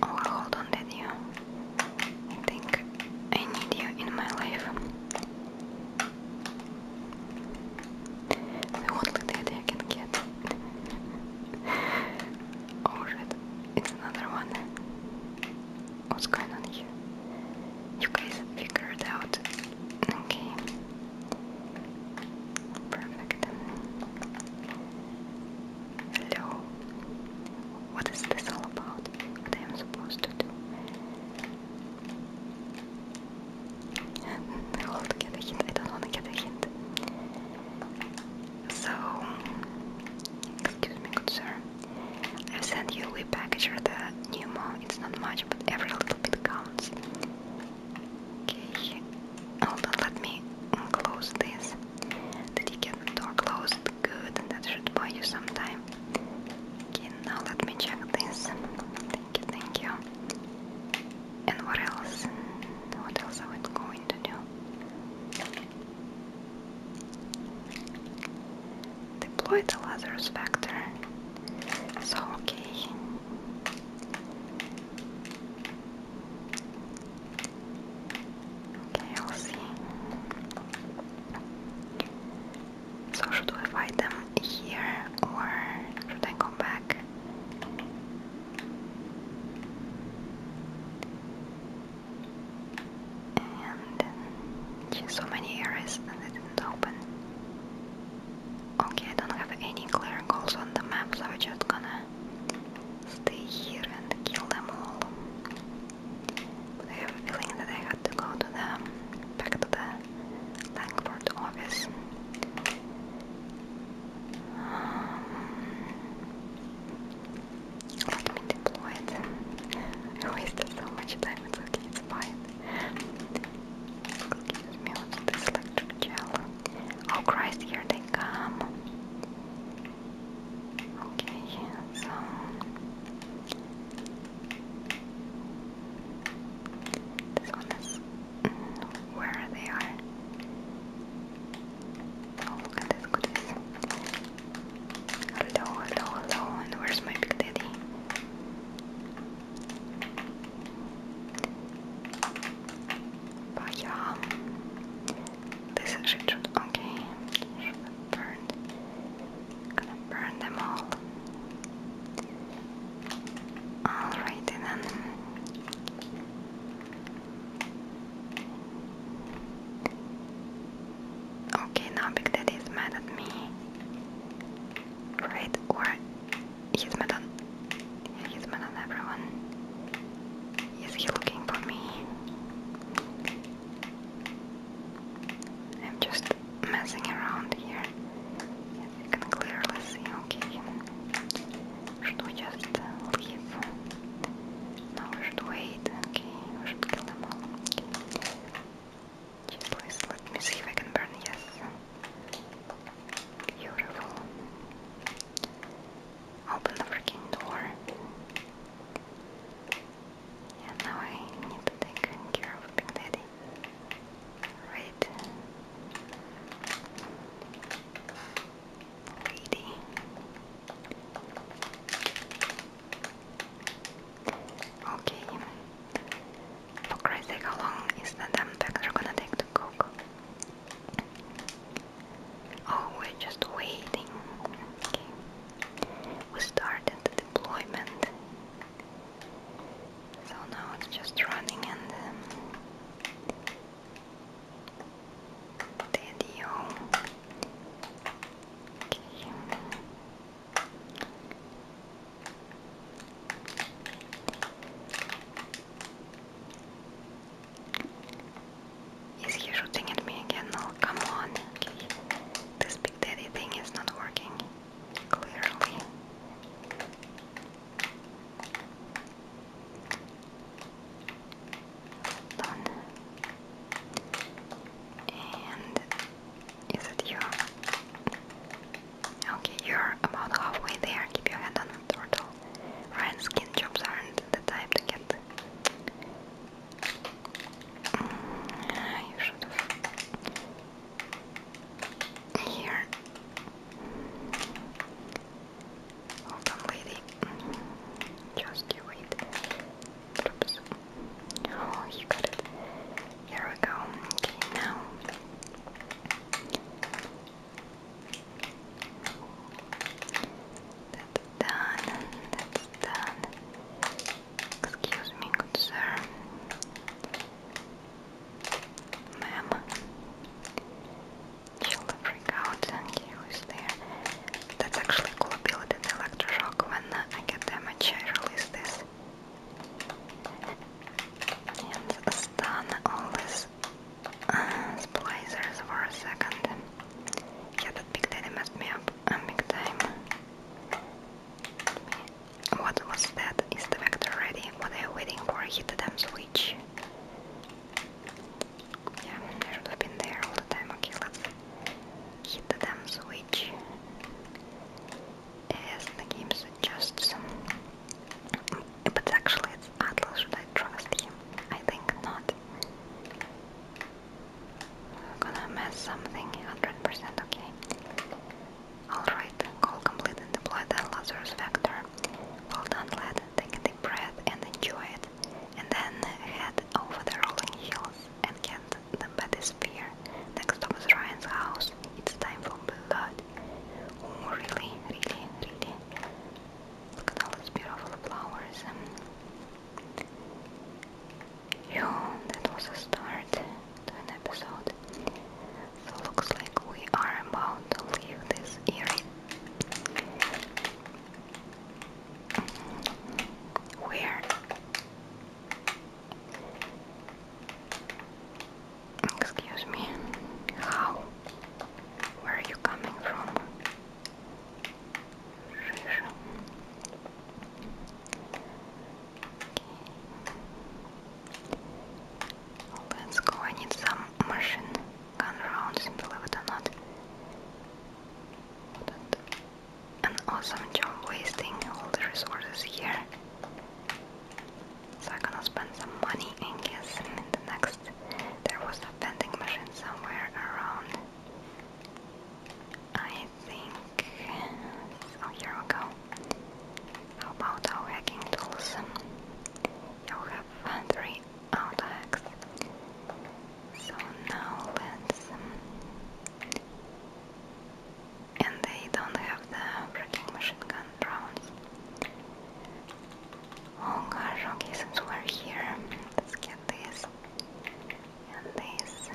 S1: Oh, hold on, did think I need you in my life. The only I can get. oh shit, it's another one. What's going on here? You guys figured out. Okay. Perfect. Hello. What is this all about? What I am supposed to do? Hold, get a hint. I don't want to get a hint. So, excuse me, sir. i sent you a package or the new pneumo. It's not much, but every little bit counts. Okay, hold on, let me close this. Did you door closed? Good, that should buy you some time. Okay, now let me check this. Thank you, thank you. And what else? What else are we going to Deploy the Lazarus vector. So, okay. Okay, I'll see. So should we fight them here or should I go back? And so many areas that didn't open. Okay, I don't have any clear goals on the map, so we're just gonna stay here and kill them all. But I have a feeling that I had to go to the back to the Langford office. Um, let me deploy it. I wasted so much time, it's okay, it's fine. Excuse me, what's this electric Oh Christ, here they come. Okay, so this one is mm, where they are. Oh, look at this goodies. Hello, hello, hello, and where's my big daddy? But um, this is should, okay, Gonna burn them all. Alrighty then. Okay, now Big Daddy mad at me. Right? Or he's mad on. he's mad on everyone. Is he looking for me? I'm just messing around here. Yes, you can clearly see, okay. Should we just leave? No, we should wait, okay. We should
S2: kill them all. Okay. please let me see if I can burn, yes. Beautiful. Open the freaking door. Yeah, now I need to take care of Big Daddy. Right.
S1: Reading. Okay. For Christ's sake, how long is the damn doctor gonna take to cook? Oh, we're just waiting. We started deployment so now it's just running and um, video. Okay. Is he shooting at me again? No, come on. This big daddy thing is not working clearly. Done. And is it you? Okay, you're about halfway there. Keep your head on the turtle. Red skin jobs aren't the type to get. Mm, you should here. Hold on, lady. Just you wait. Oops. Oh, you got it. Here we go. Okay, now. That's done. That's done. Excuse me, good sir. Ma'am. She'll freak out and he who's there. That's actually a cool ability in Electroshock. When uh, I get damage, I release this. And stun all these uh, splicers for a second. Yeah, that big daddy messed me up. Um, big time. What was that? Is the vector ready? What are you waiting for? Hit the damn switch. Yeah, should have been there all the time. Okay, hit the damn switch. Yes, the game suggests. But actually, it's Atlas. Should I trust him? I think not. I'm gonna mess something 100%. Okay. Alright, call complete and deploy the Lazarus Vector. Well done, lad. Take a deep breath and enjoy it. And then head over the rolling hills and get the Betty Sphere. Next up is Ryan's house. It's time for blood. Oh, really, really, really. Look at all those beautiful flowers. Um, yeah, that was a start an episode. So looks like we are about to leave this area. Where? Excuse me. How? Where are you coming from? Let's go, I need some machine gun rounds, believe it or not. An awesome job wasting all the resources here. So I'm gonna spend some money and get some in the next. There was a vending machine somewhere around. I think. Oh, here we go. How about our hacking tools? You have three auto hacks. So now let's. Um, and they don't have the freaking machine gun rounds. Oh gosh, okay, since we're here, let's get this. And this.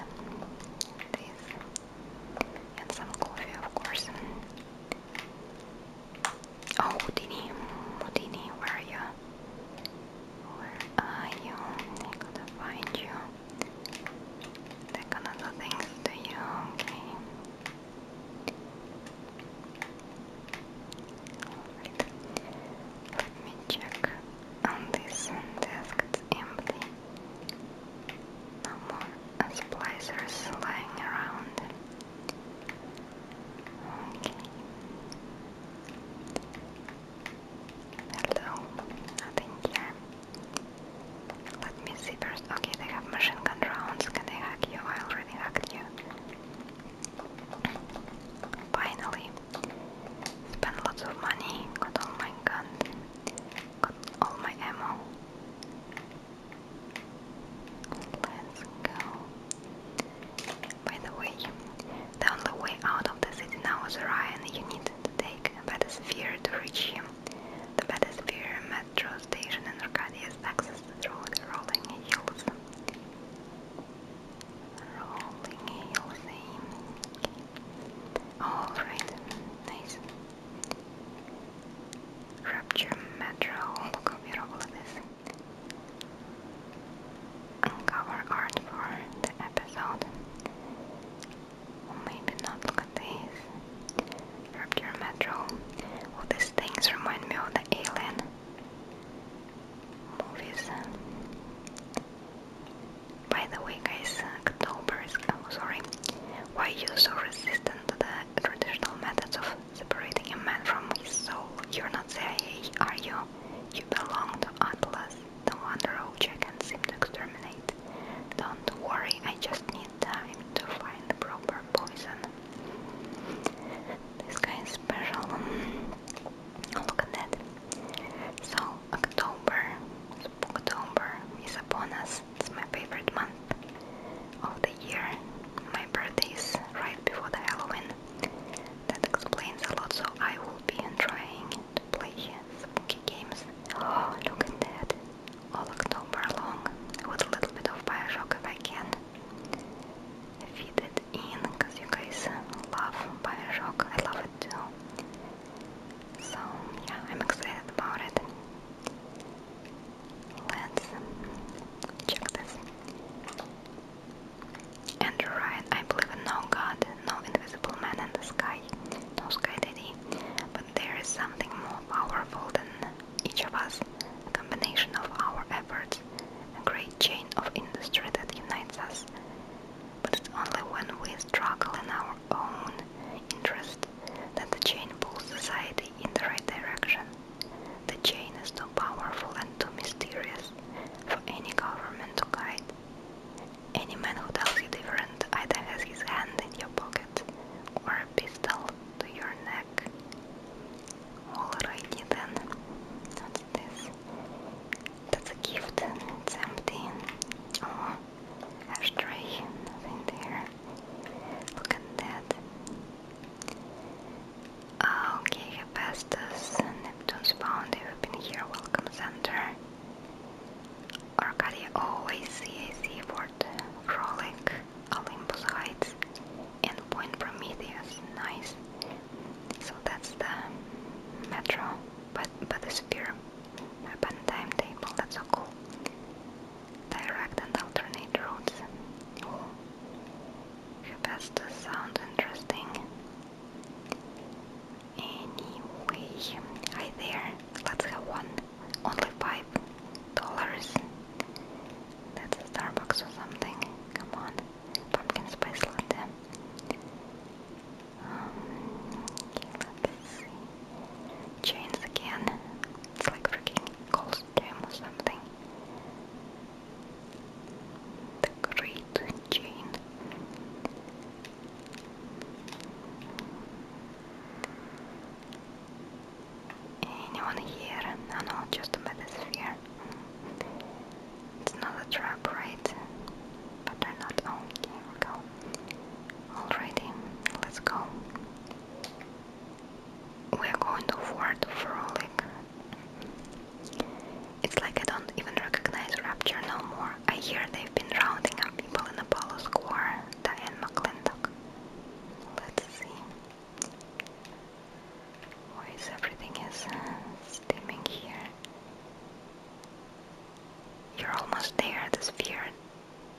S1: this and some coffee, of course. Oh, Houdini, Houdini, where are you? Where are you? I gotta find you. They're gonna do things to you, okay? let me check on this desk, it's empty. No more and lying around. Hello, nothing here. Let me see first. Okay, they have machine gun rounds. Can they hack you? I already hacked you. Finally, spent lots of money, got all my guns, got all my ammo. Let's go. By the way, the only way out of the city now is Orion. You need to take a Bathysphere to reach him. The Bathysphere metro station and Arcadia access accessed through the rolling hills. Rolling hills. Eh? Alright, nice. Rapture Metro Lugovirolis. Uncover art for the episode. Maybe not look at these. Rapture Metro. All these things remind me of the Alien movies. By the way, guys, October is. Oh, sorry. Why you so resistant to the traditional methods of separating a man from his soul. You're not CIA, are you? You belong to Atlas, the one Rojakan seemed to exterminate. Don't worry, I just need time to find the proper poison. This guy is special. Look at that. So, October, October is upon us. It's my favorite month of the year. My birthday is right before the Halloween. That explains a lot, so I will be trying to play spooky games. Oh, look at that! All October long, with a little bit of Bioshock if I can. Feed it in, because you guys love Bioshock. I love it too. So, yeah, I'm excited about it. Let's check this. Andrew Ryan, I believe in no god, no invisible man in the sky, no sky daddy, but there is something more powerful than each of us, a combination of our efforts, a great chain of industry that unites us. But it's only when we struggle in our own interest that the chain pulls society in the right direction. The chain is too powerful and too mysterious for any government to guide. Any man who tells you different either has his hand in your pocket or a pistol to your neck. Alrighty then. What's this? That's a gift. It's empty. Oh, ashtray. Nothing there. Look at that. Okay, passed Hephaestus, Neptune's Bound, we have been here, welcome center. Arcadia, oh I see, Olympus Heights, and Point Prometheus, nice. So that's the metro, but, but the sphere, Open timetable, that's so cool direct and alternate routes. Oh, sounds interesting. Anyway, hi there, let's have one. Only five dollars. That's Starbucks or something. Come on, pumpkin spice latte. Um, let's see. Chains again. It's like freaking Cold system or something. The Great Chain. Anyone here? No, no, just a metasphere. It's not a trap, right? But they're not. Oh, okay, go. Alrighty, let's go we're going for the frolic. It's like I don't even recognize Rapture no more. I hear they've been rounding up people in Apollo Square, Diane McClintock. Let's see. Why is everything is uh, steaming here? You're almost there, the sphere.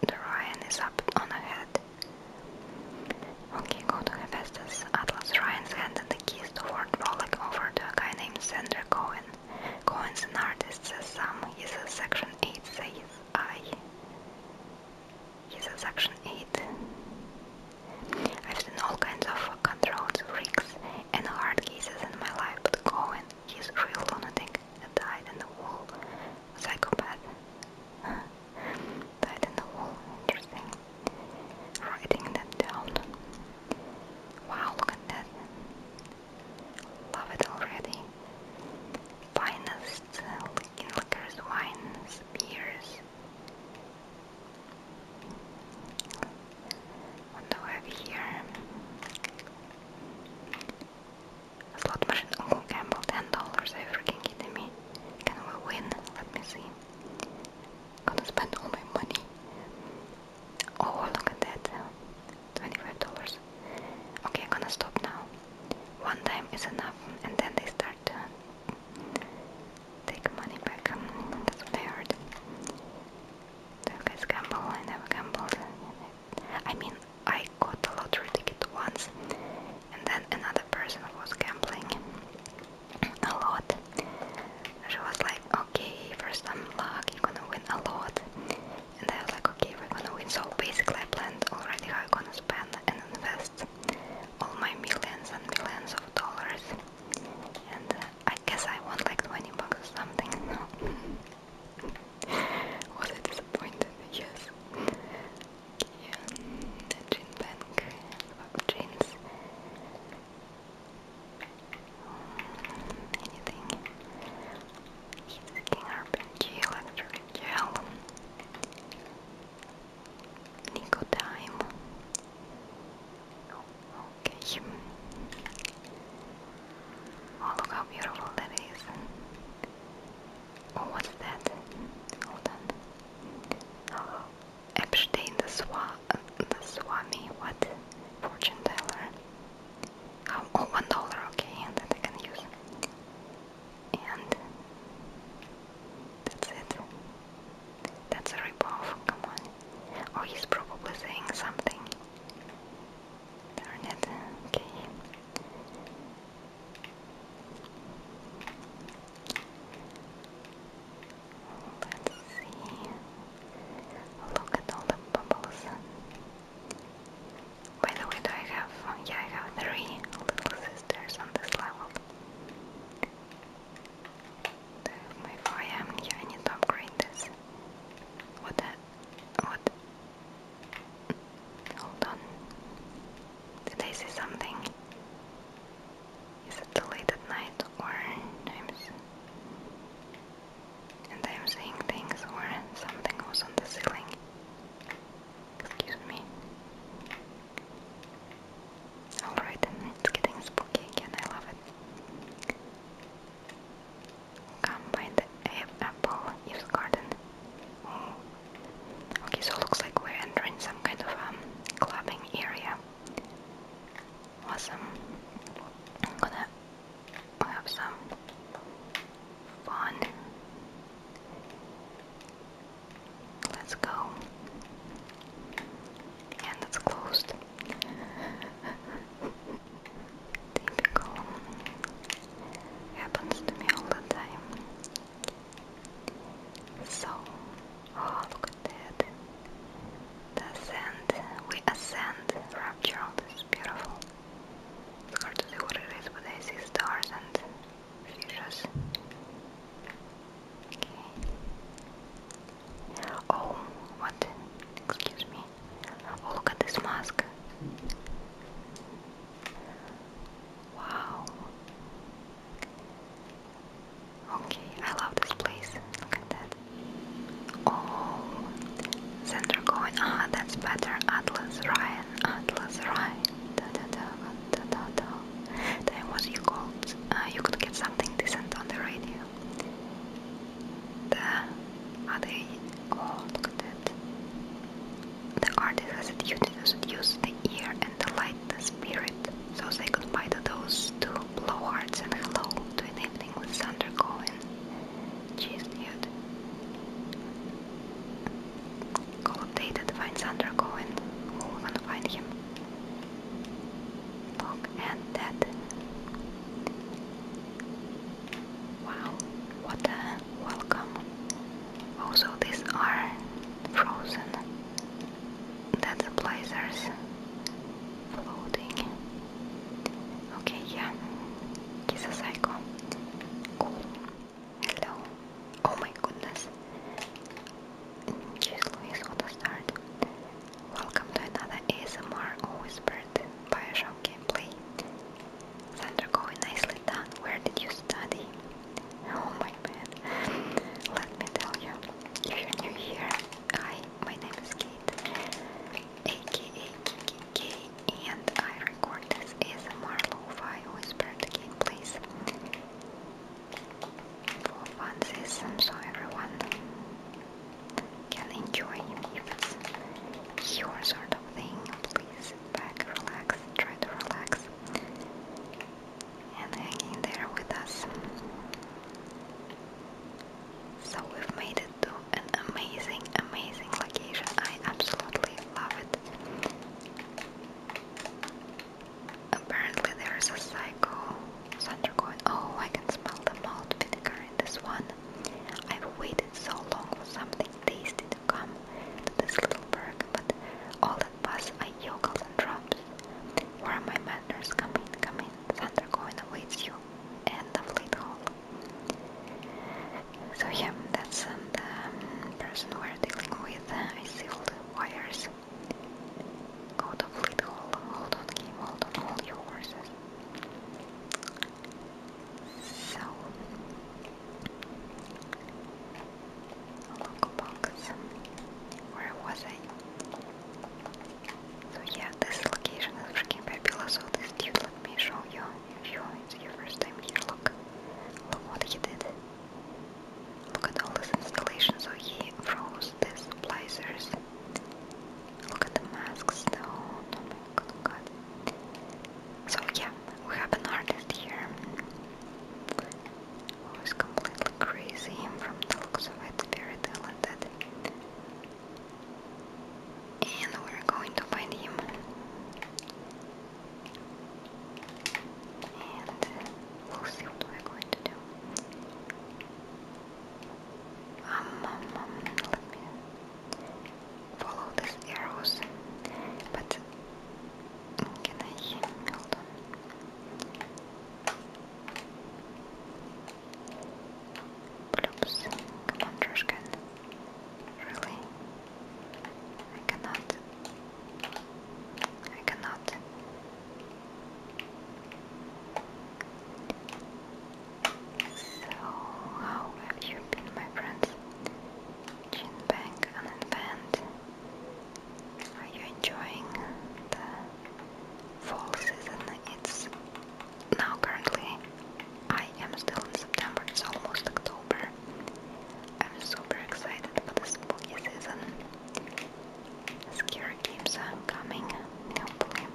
S1: The Ryan is up on ahead. Okay, go to Hephaestus. Atlas Ryans handed the keys to Fort Rollick over to a guy named Sandra Cohen. Cohen's an artist, says Sam. He's a Section 8, says I. He's a Section 8. I've seen all kinds of controlled freaks and hard cases in my life, but Cohen, he's real lunatic, a dyed in the wool psychopath. That in the wall, interesting. Writing that down. Wow, look at that. Love it already. Finest uh, liquors, wines, beers. What do I have here? slot machine. Oh, Campbell, ten dollars. Are freaking kidding me? Can we win? Let me see. Gonna spend all my money. Oh, look at that. $25. Okay, I'm gonna stop now. One time is enough, and then they start to take money back. Mm, that's what I heard. Do you guys gamble? I never gambled. I mean, I got a lottery ticket once, and then another person was gambling a lot. She was like, okay, first some luck, you're gonna win a lot. And I was like, okay, we're gonna win. So basically I planned already how I'm gonna spend and invest all my millions and millions of dollars. And uh, I guess I won like 20 bucks or something. No. was I the gene bank of anything. He's King RPG, Electric Gel, Nicotime. Okay. Oh, look how beautiful that is. Oh, what's that? Hold on. Epstein the, Swa the Swami, what? Fortune teller. Oh, oh one dollar, okay, and I can use. And that's it. That's a ripoff, come on. Oh, he's probably saying something. Darn it, okay. Let's see. Look at all the bubbles. By the way, do I have? Oh, yeah, I have three little sisters on this level. Do I have Yeah, I need to upgrade this. What? what? Hold on. Did I see something? Is it too late at night or and I'm seeing things or something was on the ceiling? Excuse me. Alright, it's getting spooky again, I love it. Come by the apple Eve's garden. Oh, Okay, so looks like we're entering some kind of um, clubbing area. Awesome. I'm gonna have some fun. Let's go. And it's closed. Typical. Happens to me all the time. So, oh, look at that. The ascent, we ascend, rapture, all this is beautiful. It's hard to see what it is, but I see stars and fishes. Oh, what? Excuse me. Oh, look at this mask. Wow. Okay, I love this place. Look at that. Oh, then going. Ah, that's better. Atlas Ryan, Atlas Ryan. Da da da da da da. Then what you called? Uh, you could get something decent on the radio. The are they? Oh, look at that. The artist has a duty to seduce the ear the light, the spirit, so say goodbye to those two blowhards and hello to an evening with Sander Cohen. Cheers, dude. Call updated, find Sander Cohen. Woman, find him. Dog and dead. Wow, what a welcome. Also, these are frozen. That's the blazers floating. Okay, yeah. It's a psycho. Hello. Oh my goodness. She's Louise on to start. Welcome to another ASMR Whispered Bioshock gameplay. Thunder going nicely done. Where did you study? Oh my man. Let me tell you, if you're new here, I my name is Kate, aka and I record this as a Marlowe Whispered gameplays for fun so everyone can enjoy if it's your sort of thing. Please back, relax, try to relax and hanging there with us. So we've made it to an amazing, amazing location. I absolutely love it. Apparently there is a cycle Oh, I can smell the malt vinegar in this one. I've waited so long for something tasty to come to this little bird, but all that was I yokels and drums. Where are my manners? Come in, come in. Thunder going awaits you. And the fleet hall. So yeah, that's um, the um, person we're dealing with. Uh, I sealed wires. Go to fleet hall. Hold on, game. Hold on, hold your horses. So a local box. Where was I? So yeah, this location is freaking fabulous. So this dude, let me show you. If you, it's your first time here, look, look what he did. Look at all this installation. So he froze these placers. Look at the masks, though. Oh my god. So yeah, we have an artist here who oh, is completely crazy from the looks of it, very talented. And we're going to find him. And we'll see what we're going to do. Um, um, um let me follow these arrows. But can I hold on? Oops. Come on, trash Really? I cannot. I cannot. So, how have you been, my friends? Chin bang and band. Are you enjoying the fall season? It's now currently I am still in September, it's almost October. I'm super excited for the spooky season. Scary games are coming, hopefully.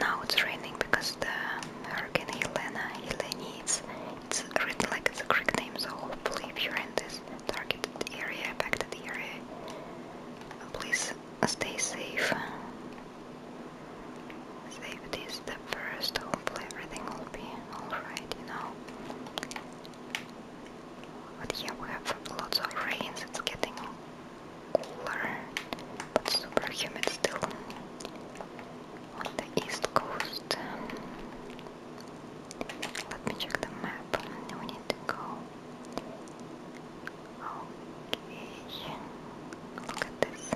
S1: Now it's raining because the Hurricane Helena, Helene, it's, it's written like it's a Greek name, so hopefully if you're in this targeted area, affected area. Please stay safe. Safety is the first. Hopefully everything will be alright, you know. But yeah, we have lots of rains, it's getting cooler, but super humid still on the east coast. Let me check the map. We need to go. Okay. Look at this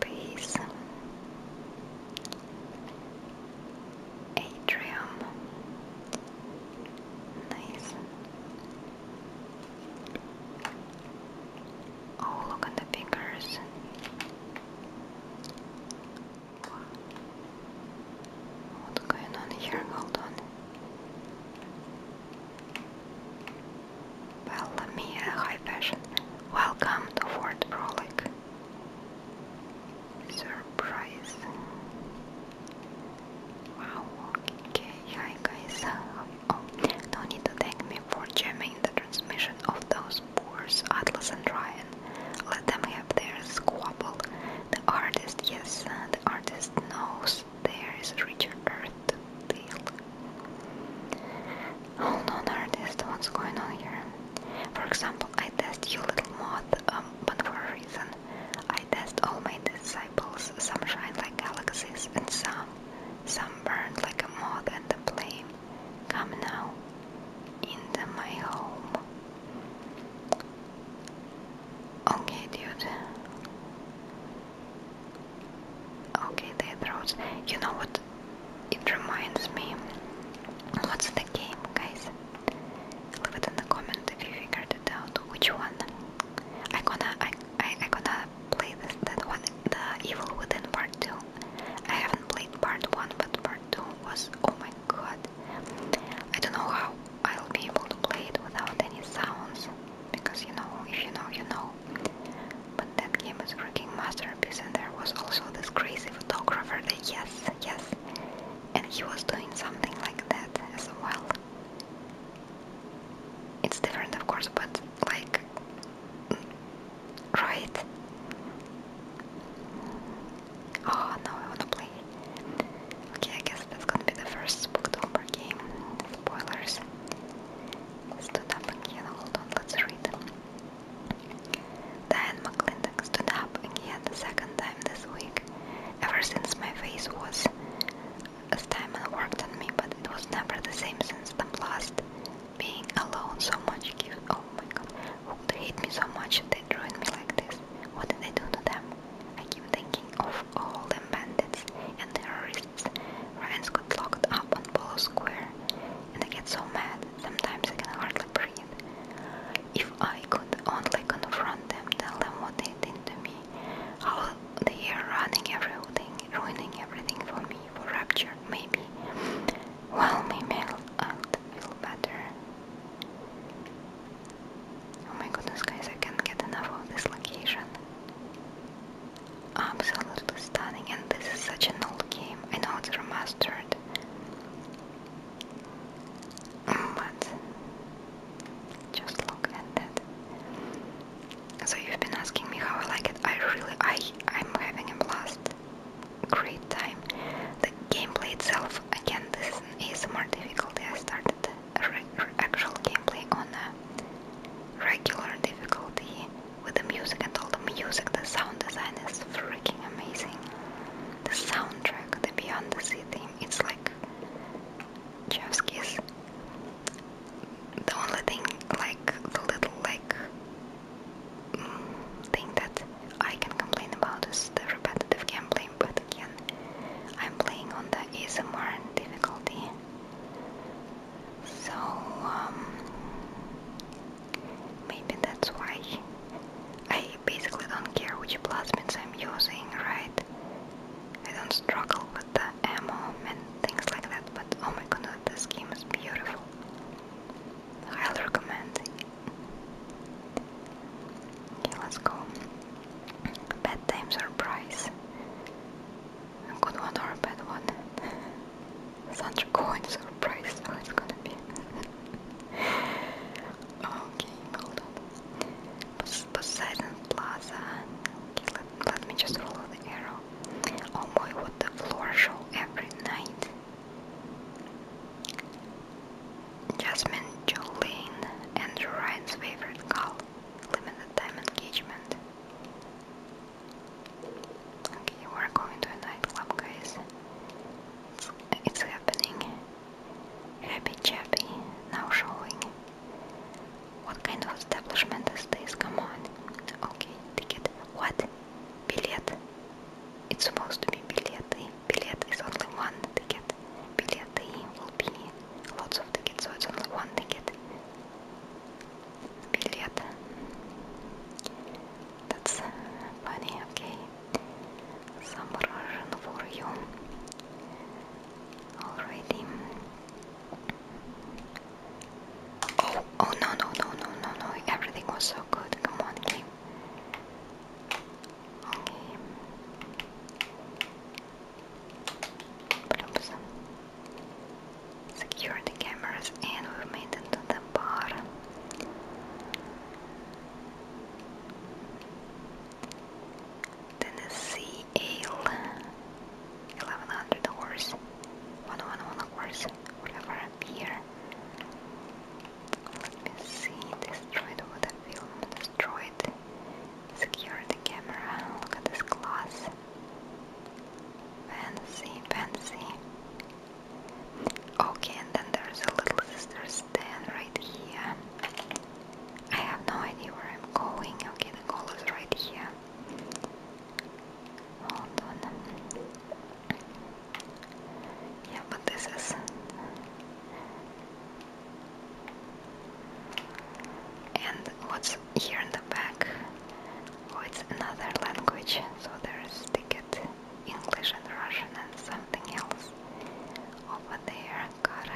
S1: space. Atrium. Nice. Oh, look at the figures. What's going on here? Hold on. Bellamia High Passion. Welcome to Fort Frolic. Surprise. Wow, okay, hi guys. Oh, no need to thank me for jamming the transmission of the those boors, Atlas and Ryan. Let them have their squabble. The artist, yes, uh, the artist knows there is richer earth to feel. Hold on, artist, what's going on here? For example, I test you, little moth, um, but for a reason. I test all my disciples. Some shine like galaxies, and some, some burn like a moth and the flame. Come now into my home. Okay, dude. Okay, Dead Roads. You know what? It reminds me. What's the game, guys? Leave it in the comment if you figured it out. Which one? I gonna I, I gonna play this that one, the Evil Within Part Two. I haven't played Part One, but Part Two was oh my god, I don't know how I'll be able to play it without any sounds, because you know, if you know, you know. But that game is a freaking masterpiece, and there was also this crazy photographer that, yes, yes, and he was doing something like that as well. It's different, of course, but like, mm, right? Oh ah, no, I wanna play. Okay, I guess that's gonna be the first Spooktober game. Spoilers. Stood up again. Hold on, let's read. Diane McClintock stood up again the second time this week. Ever since my face was a time worked on me, but it was never the same since the last Being alone so much gives. Oh Oh my god, who could hate me so much if they ruined me like this? What did they do to them? I keep thinking of all the bandits and terrorists Ryan's got locked up on Polo Square and I get so mad, sometimes I can hardly breathe. If I could only confront them, tell them what they did to me, how they are running everything, ruining everything for me, for Rapture, maybe while we mail out feel better. Oh my goodness guys, I can't get enough of this location. Absolutely stunning and this is such an old game. I know it's remastered. But just look at that. So you've been asking me how I like it. I really I I'm having a blast great time. The gameplay itself, again, this is more ASMR difficulty. I started actual gameplay on regular difficulty with the music and all the music. The sound design is freaking amazing. The soundtrack, the Beyond the Sea theme, it's like chef's The only thing, like the little like mm, thing that I can complain about is the repetitive gameplay, but again, I'm playing on the ASMR difficulty. So, um, maybe that's why I basically don't care which plasmids I'm using, right? I don't struggle with the ammo and things like that, but oh my god, this game is beautiful highly recommend. Okay, let's go. Bad Bedtime surprise. A good one or a bad one? Sandra Cohen surprise, so it's gonna be. okay, hold on. Poseidon Plaza. Okay, let, me just follow the arrow. Oh my, what the floor show every night. Jasmine Jolene, Andrew Ryan's favorite call, limited time engagement. Okay, we're going to a nightclub, guys. It's, happening. Happy Chappy, now showing. What kind of establishment is this? Come on. Okay, ticket. What? Billet. It's supposed to be billet, eh? billet is only one ticket. Billet will be lots of tickets, so it's only one ticket. Billet. That's funny, okay. Some Russian for you. Already. Oh, oh, no, no, no, no, no, no. Everything was so good. Come on, game. Oops. Secure the cameras and we made it to the bar. Tennessee Ale. 1100 horse. 111 horse. Whatever. Beer. Let me see. Destroyed what a film. Destroyed. Secure the camera. Look at this glass. Fancy, fancy. Okay, and then there's a little sister's stand right here. I have no idea where I'm going. Okay, the goal is right here. Hold on. Yeah, but this is and what's here in the back? Oh, it's another language, so there's ticket English and Russian and something else over there. Got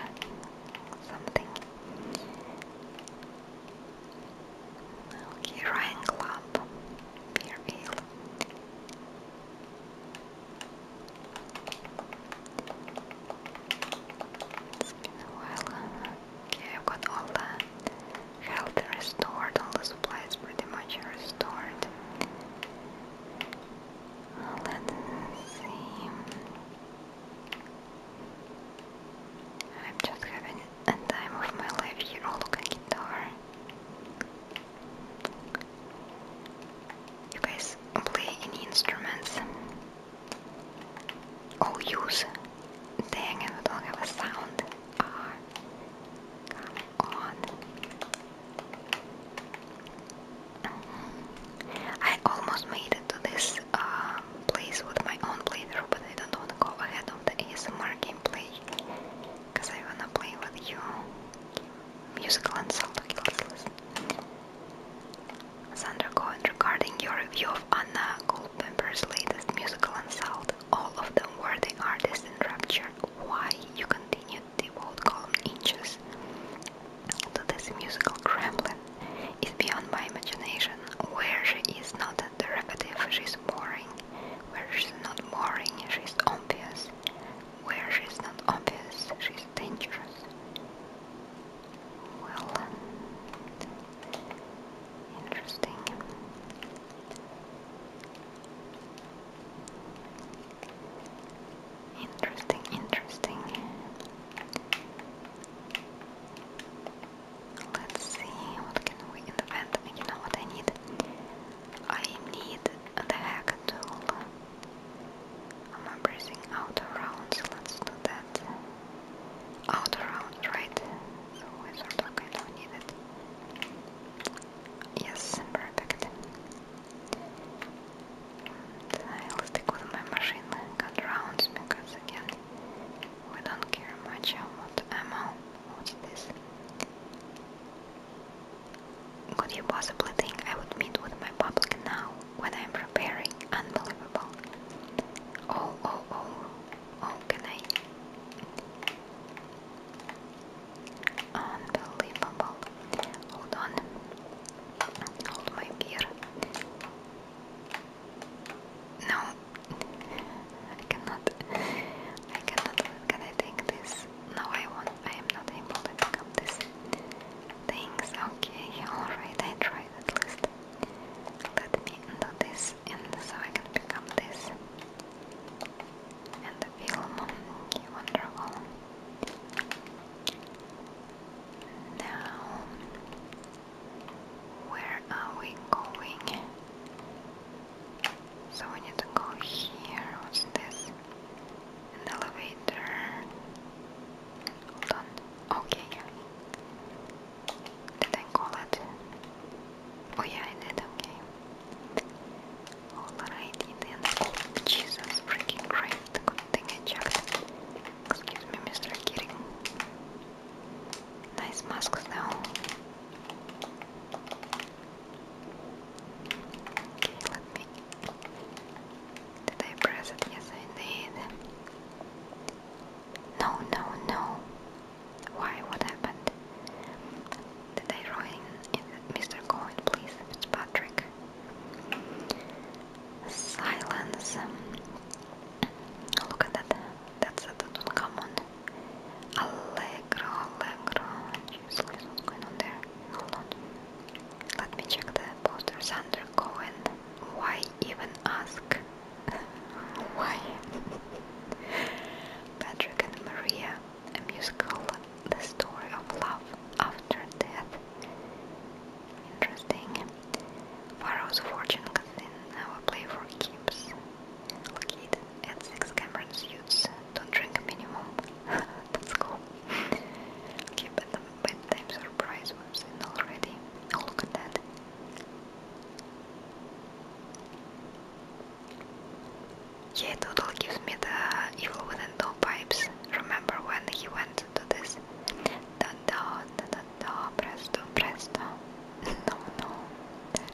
S1: something. Okay, Ryan Club, beer ale. Well, okay, I've got all the health restored, all the supplies pretty much restored. Let's see. I'm just having a time of my life here. Oh, look, at guitar. You guys play any instruments? Oh, use. Dang it, don't have a sound. Ah, I almost made it to this um, place with my own playthrough, but I don't want to go ahead of the ASMR gameplay because I wanna play with you musical insult. Okay, let's listen. Sandra Cohen, regarding your review of Anna Goldmember's latest musical insult, all of them were the artists in rapture. Why you continued the old column inches to this musical Kremlin? It's beyond my imagination. Where she is not derivative, she's boring. Where she's not boring, she's obvious. Where she's not obvious, she's dangerous. Well, um, interesting.
S2: Interesting, interesting. Let's see, what can we invent? You know what I need? I need the hack tool.
S1: I'm embracing outer rounds, let's do that. Outer rounds, right? So I sort of kind of need it. Yes, perfect. And I'll stick with my machine gun rounds because again, we don't care much about ammo. What's this? Could you possibly think I would meet with my public now, when I'm preparing? Unbelievable. Oh, oh, oh. Oh, can I? Unbelievable. Hold on. Hold my beer. No. I cannot. I cannot. Can I take this? No, I want I am not able to pick up these things. Okay, alright, I tried at least. Let me do this and so I can pick up this. And the film. wonderful. Now, where are we going? So we need to go here. What's this? an elevator. Hold on. Okay. Did I call it? Oh yeah, I did. Okay. Alrighty then. Jesus, freaking great. Good thing I checked. Excuse me, Mr. Keating. Nice masks though. Did I press it? Yes, I did. No, no, no. Why? What happened? Did I ruin Mr. Cohen, please, Patrick. Silence. Look at that. That's a common. Allegro, allegro. Jeez, what's going on there? Hold let me check the posters under Cohen. Why even ask? Why? Patrick and Maria, a musical, the story of love after death. Interesting. Pharaoh's Fortune Cousin, our play for keeps. Located at 6 Cameron's Suits, don't drink minimum. that's cool. Okay, but the bedtime surprise was in already. Oh, look at that. Yeah, it gives me the evil within the Remember when he went to this? Da da da da da, presto, presto. No, no.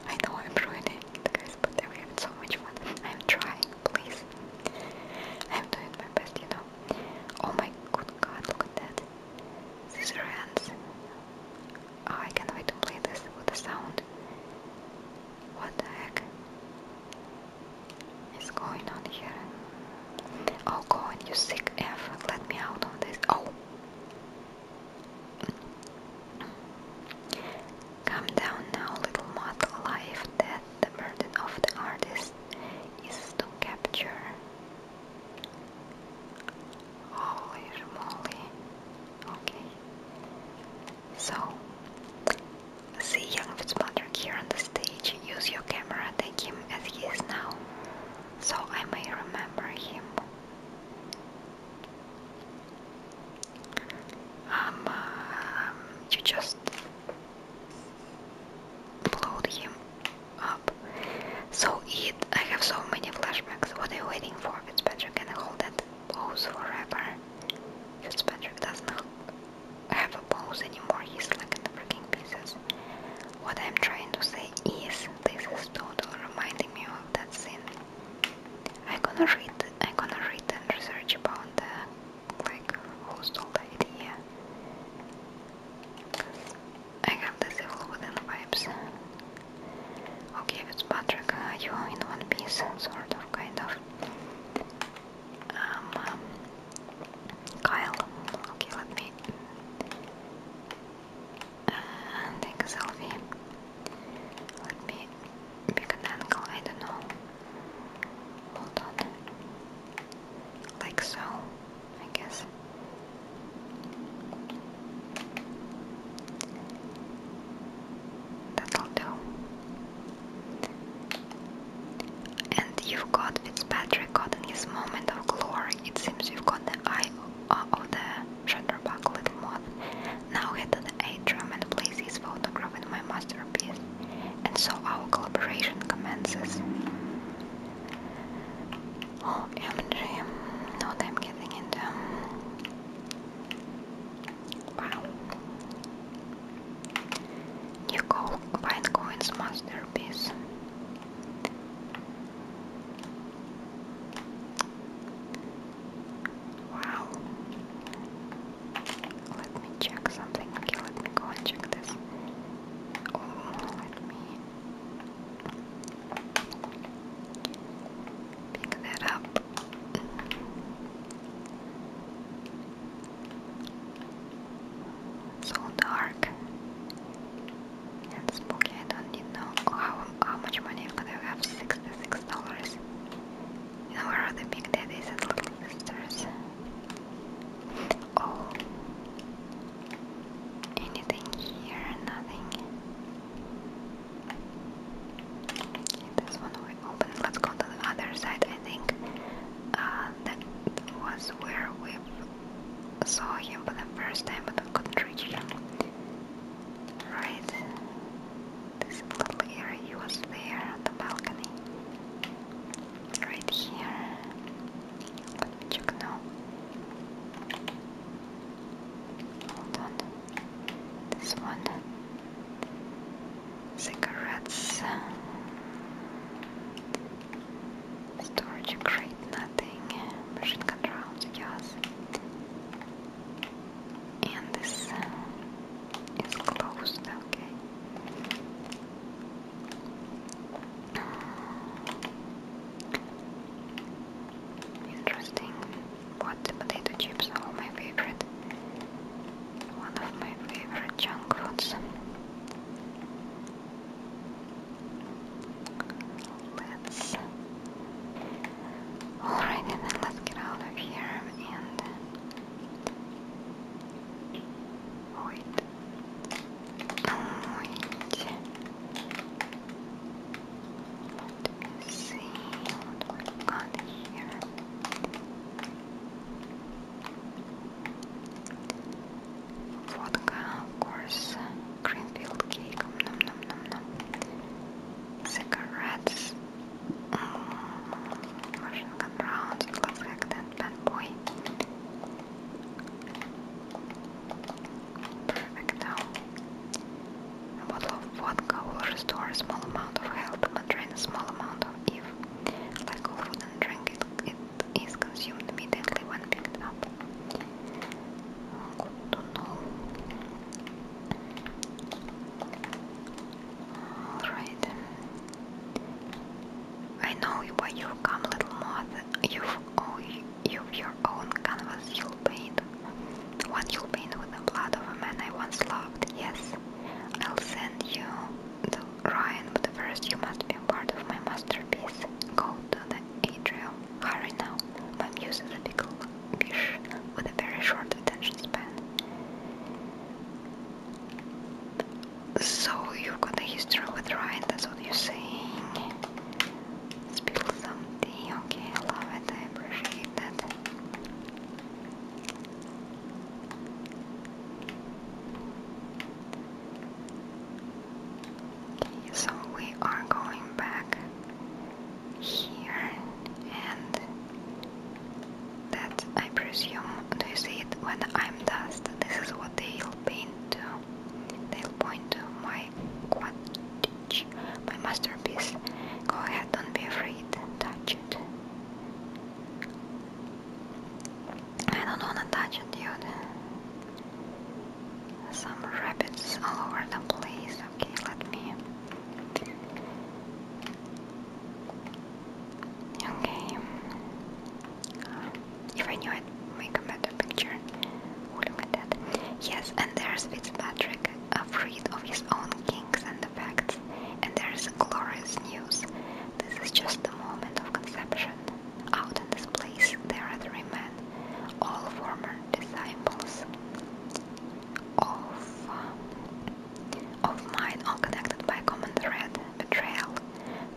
S1: I know I'm it, but I'm so much fun. I'm trying please. I'm doing my best, you know. Oh my good god, look at that. These are ants. I can't wait to play this with the sound. What the heck is going on here? Oh, go on, you sick F. Let me out on this. Oh! Come down now, little mod. Life, death, the burden of the artist is to capture. Holy moly. Okay. So, see young Fitzpatrick here on the stage. Use your camera, take him as he is now, so I may remember him. um, um you just blowed him up. So it. I have so many flashbacks. What are you waiting for? Fitzpatrick can I hold that pose forever. Fitzpatrick does not have a pose anymore. He's like in the freaking pieces. What I'm trying to say is, this is total reminding me of that scene. I'm gonna read. I'm gonna read and research about the like hostel idea. I have this evil within vibes. Okay, Fitzpatrick, uh, are you in one piece? Sort of, kind of. Um, um, Kyle, okay, let me uh, take Let me pick an angle, I don't know. Hold on. Like so, I guess. That'll do. And you've got its Fitzpatrick in his moment of glory. It seems you've got the eye uh, of the Shutterbuck Little Moth. Now head to the atrium and place his photograph in my masterpiece and so our collaboration commences. Oh, MG, what I'm getting into. Wow. New co Coin's masterpiece. Wow. Let me check something. let me check this. Oh, let me pick that up. So dark and spooky. don't need no. how how much money do I have? Sixty-six dollars. You know where the big daddies and little sisters? Oh, Anything here? Nothing. Okay, this one we open. Let's go to the other side. I think uh, that was where we saw him for the first time, but we couldn't reach him. Right. This little area, he was there on the balcony right here. Let me check now. Hold on. This one. Cigarettes. Storage crate, nothing. Machine control, yes. And this uh, is closed, okay. Interesting. What the potato chips are my favorite. One of my favorite junk foods. Let's. Alright, and then let's get out of here and. Wait orange. Let Vodka, of course. Greenfield cake. Nom nom nom nom. Cigarettes. Mm. Russian rounds. It looks bad boy. Perfecto. A bottle of vodka will restore small amount of health and drain small amount of if, like all drink, it, it is consumed immediately when picked up. Good oh, to know. Alright. I know you, but you've come little more you've, your own canvas you'll paint. One you have paint with the blood of a man I once loved, yes. I'll send you the Ryan, but first you must be a part of my masterpiece. Go to the atrium. Hurry now. My muse is a pickle fish with a very short attention span. So you've got a history with Ryan, that's what you're saying. Spill some okay, I love it, I appreciate that. so we are going back here and that I presume, do see it when I'm dust? This is what they'll paint to They'll point to my Quidditch, my masterpiece. Go ahead, don't be afraid. Touch it. I don't wanna touch it, dude. Some rabbits all over the place. Okay, let me. Okay. If I knew, I'd make a better picture. Would have that. Yes, and there's Fitzpatrick, afraid of his own kinks and defects, and there's glorious news. This is just the moment of conception. Out in this place, there are three men, all former disciples of uh, of mine, all by common thread: betrayal.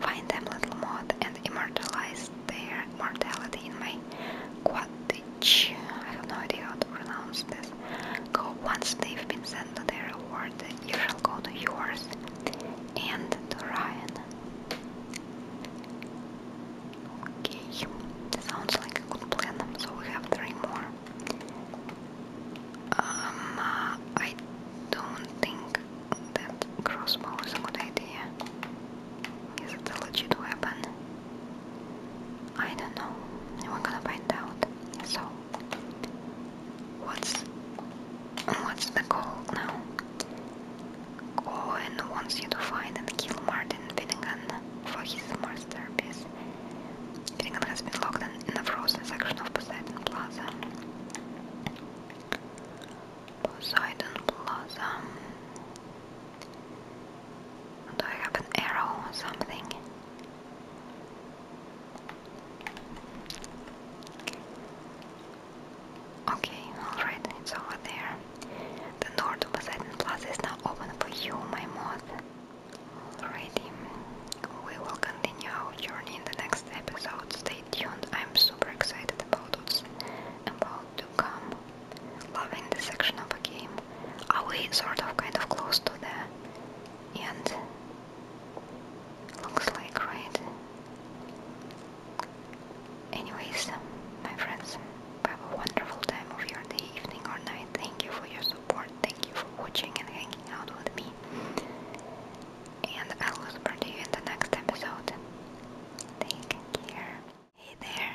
S1: Find them, little Maud, and immortalize their mortality in my Quidditch, I have no idea how to pronounce this. Go once they've been sent to their reward, you shall go to yours and to Ryan. Okay, sounds like a good plan, so we have three more. Um, uh, I don't think that crossbow is a good idea. Is it a legit weapon? I don't know. We're gonna find out. So, what's what's the goal now? Owen wants you to find and kill Martin Finnegan for his masterpiece. Finnegan has been locked in, in a frozen section of Poseidon Plaza. Poseidon Plaza. Do I have an arrow or something? Okay, alright, it's over there. The door to Poseidon Plaza is now open for you, my mod. Alrighty, we will continue our journey in the next episode. Stay tuned, I'm super excited about what's about to come. Loving the section of a game. Are we sort of kind of close to the end? Looks like, right? Anyways, my friends, have a wonderful time of your day, evening or night. Thank you for your support. Thank you for watching and hanging out with me and I will support you in the next episode. Take care. Hey there,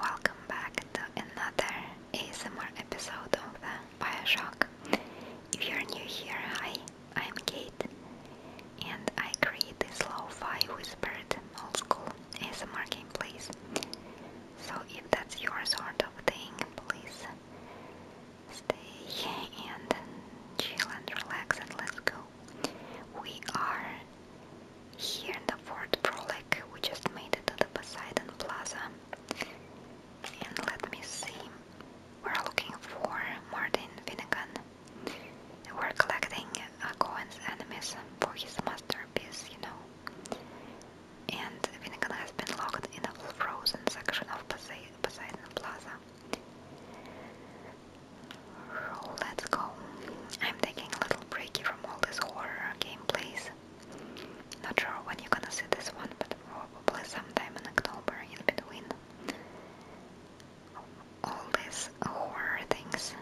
S1: welcome back to another ASMR episode of the Bioshock. If you're new here, hi, I'm Kate, and I create this lo whispered old-school ASMR gameplays. So if that's your sort of thing, please stay and chill and relax and let's go we are here in the Fort Frolic. We just made it to the Poseidon Plaza. And let me see. We're looking for Martin Finnegan. We're collecting uh, Cohen's enemies for his masterpiece, you know. And Finnegan has been locked in a frozen section of Poseidon Plaza. Let's go. I'm taking a little break from all this horror gameplays. Not sure when you're gonna see this one, but probably sometime in October in between all these horror things.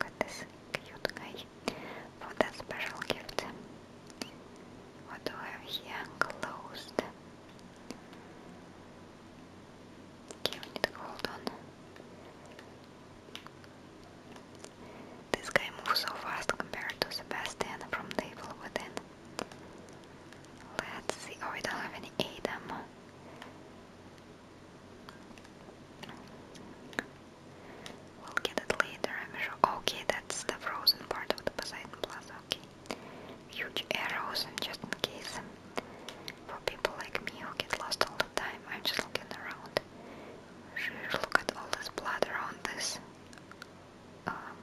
S1: Look at this cute guy for that special gift. What do I have here? Closed. Okay, we need to This guy moves so fast compared to Sebastian from the within. Let's see. Oh, we don't have any Adam. We'll get it later, I'm sure. Okay, that's the frozen part of the Poseidon Plaza. Okay. Huge arrows, and just in case. For people like me who get lost all the time, I'm just looking around. look at all this blood around this um,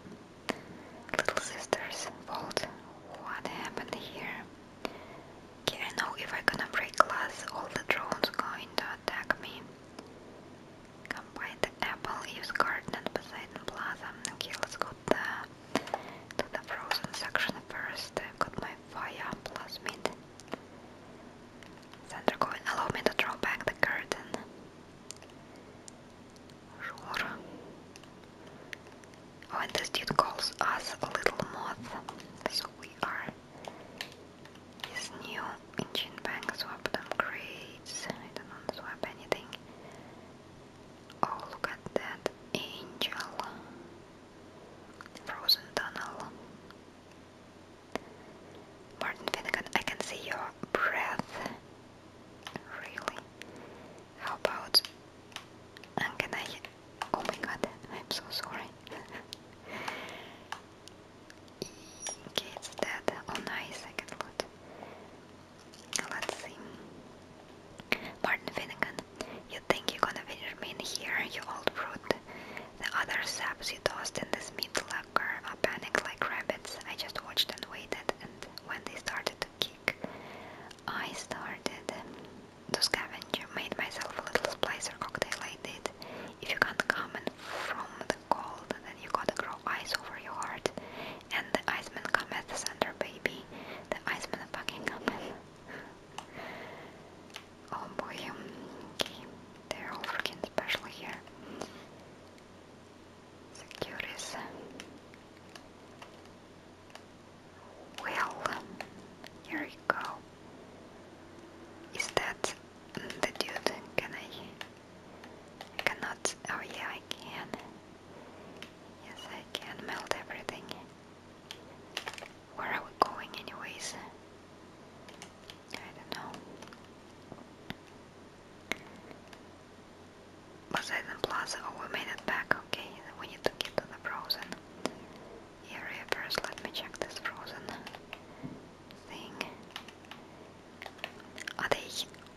S1: little sister's vault. What happened here? Okay, I know if i gonna break glass, all the drones going to attack me. Combine the apple, use garden Poseidon Plaza. Okay, let's go to to the frozen section first, I've got my fire plus meat. Then they going allow me to draw back the curtain. Sure. Oh, this dude calls us a little moth, so we are his new engine bank swap them grades. I don't want swap anything. Oh, look at that angel. Frozen Tunnel. Martin Finnegan, I can see your breath. Really? How about... can I... Oh my god, I'm so sorry. okay, it's dead. Oh nice, I can Let's see. Martin Finnegan, you think you're gonna win your in here, you old brute. The other saps you tossed in this meat locker are panicked like rabbits. I just watched and waited, and when they started to kick, I started to scavenge, made myself a little splicer cocktail I did. If you can't come in from the cold, then you gotta grow ice over your heart. And the Iceman cometh, thunder baby. The Iceman fucking cometh. Oh boy, okay, they're all freaking special here. Securities. Well, here we go. Is that the dude? Can I cannot. Oh yeah, I can. Yes, I can melt everything. Where are we going anyways? I don't know. Poseidon Plaza, oh we made it back, okay, we need to get to the frozen area first, let me check this frozen thing. Are they,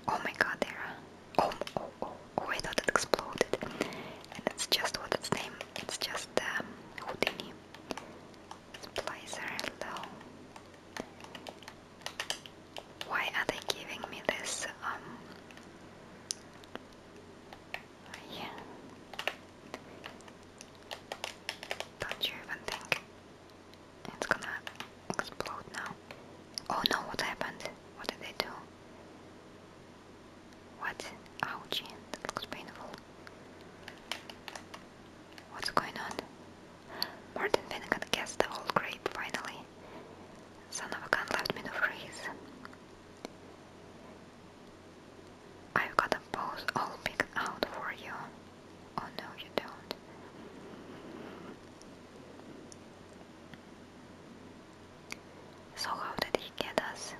S1: oh my god, they're, oh, oh, oh, Oh, I it exploded. And it's just what its name, it's just um, Houdini. Why are they giving me this? Um, yeah. Don't you even think it's gonna explode now? Oh no, what happened? What did they do? What? Ouchie, that looks painful. What's going on? Martin Finnegan guessed the old grape, finally. Son of a gun left me no freeze. I've got a pose all picked out for you. Oh no, you don't. So how did he get us?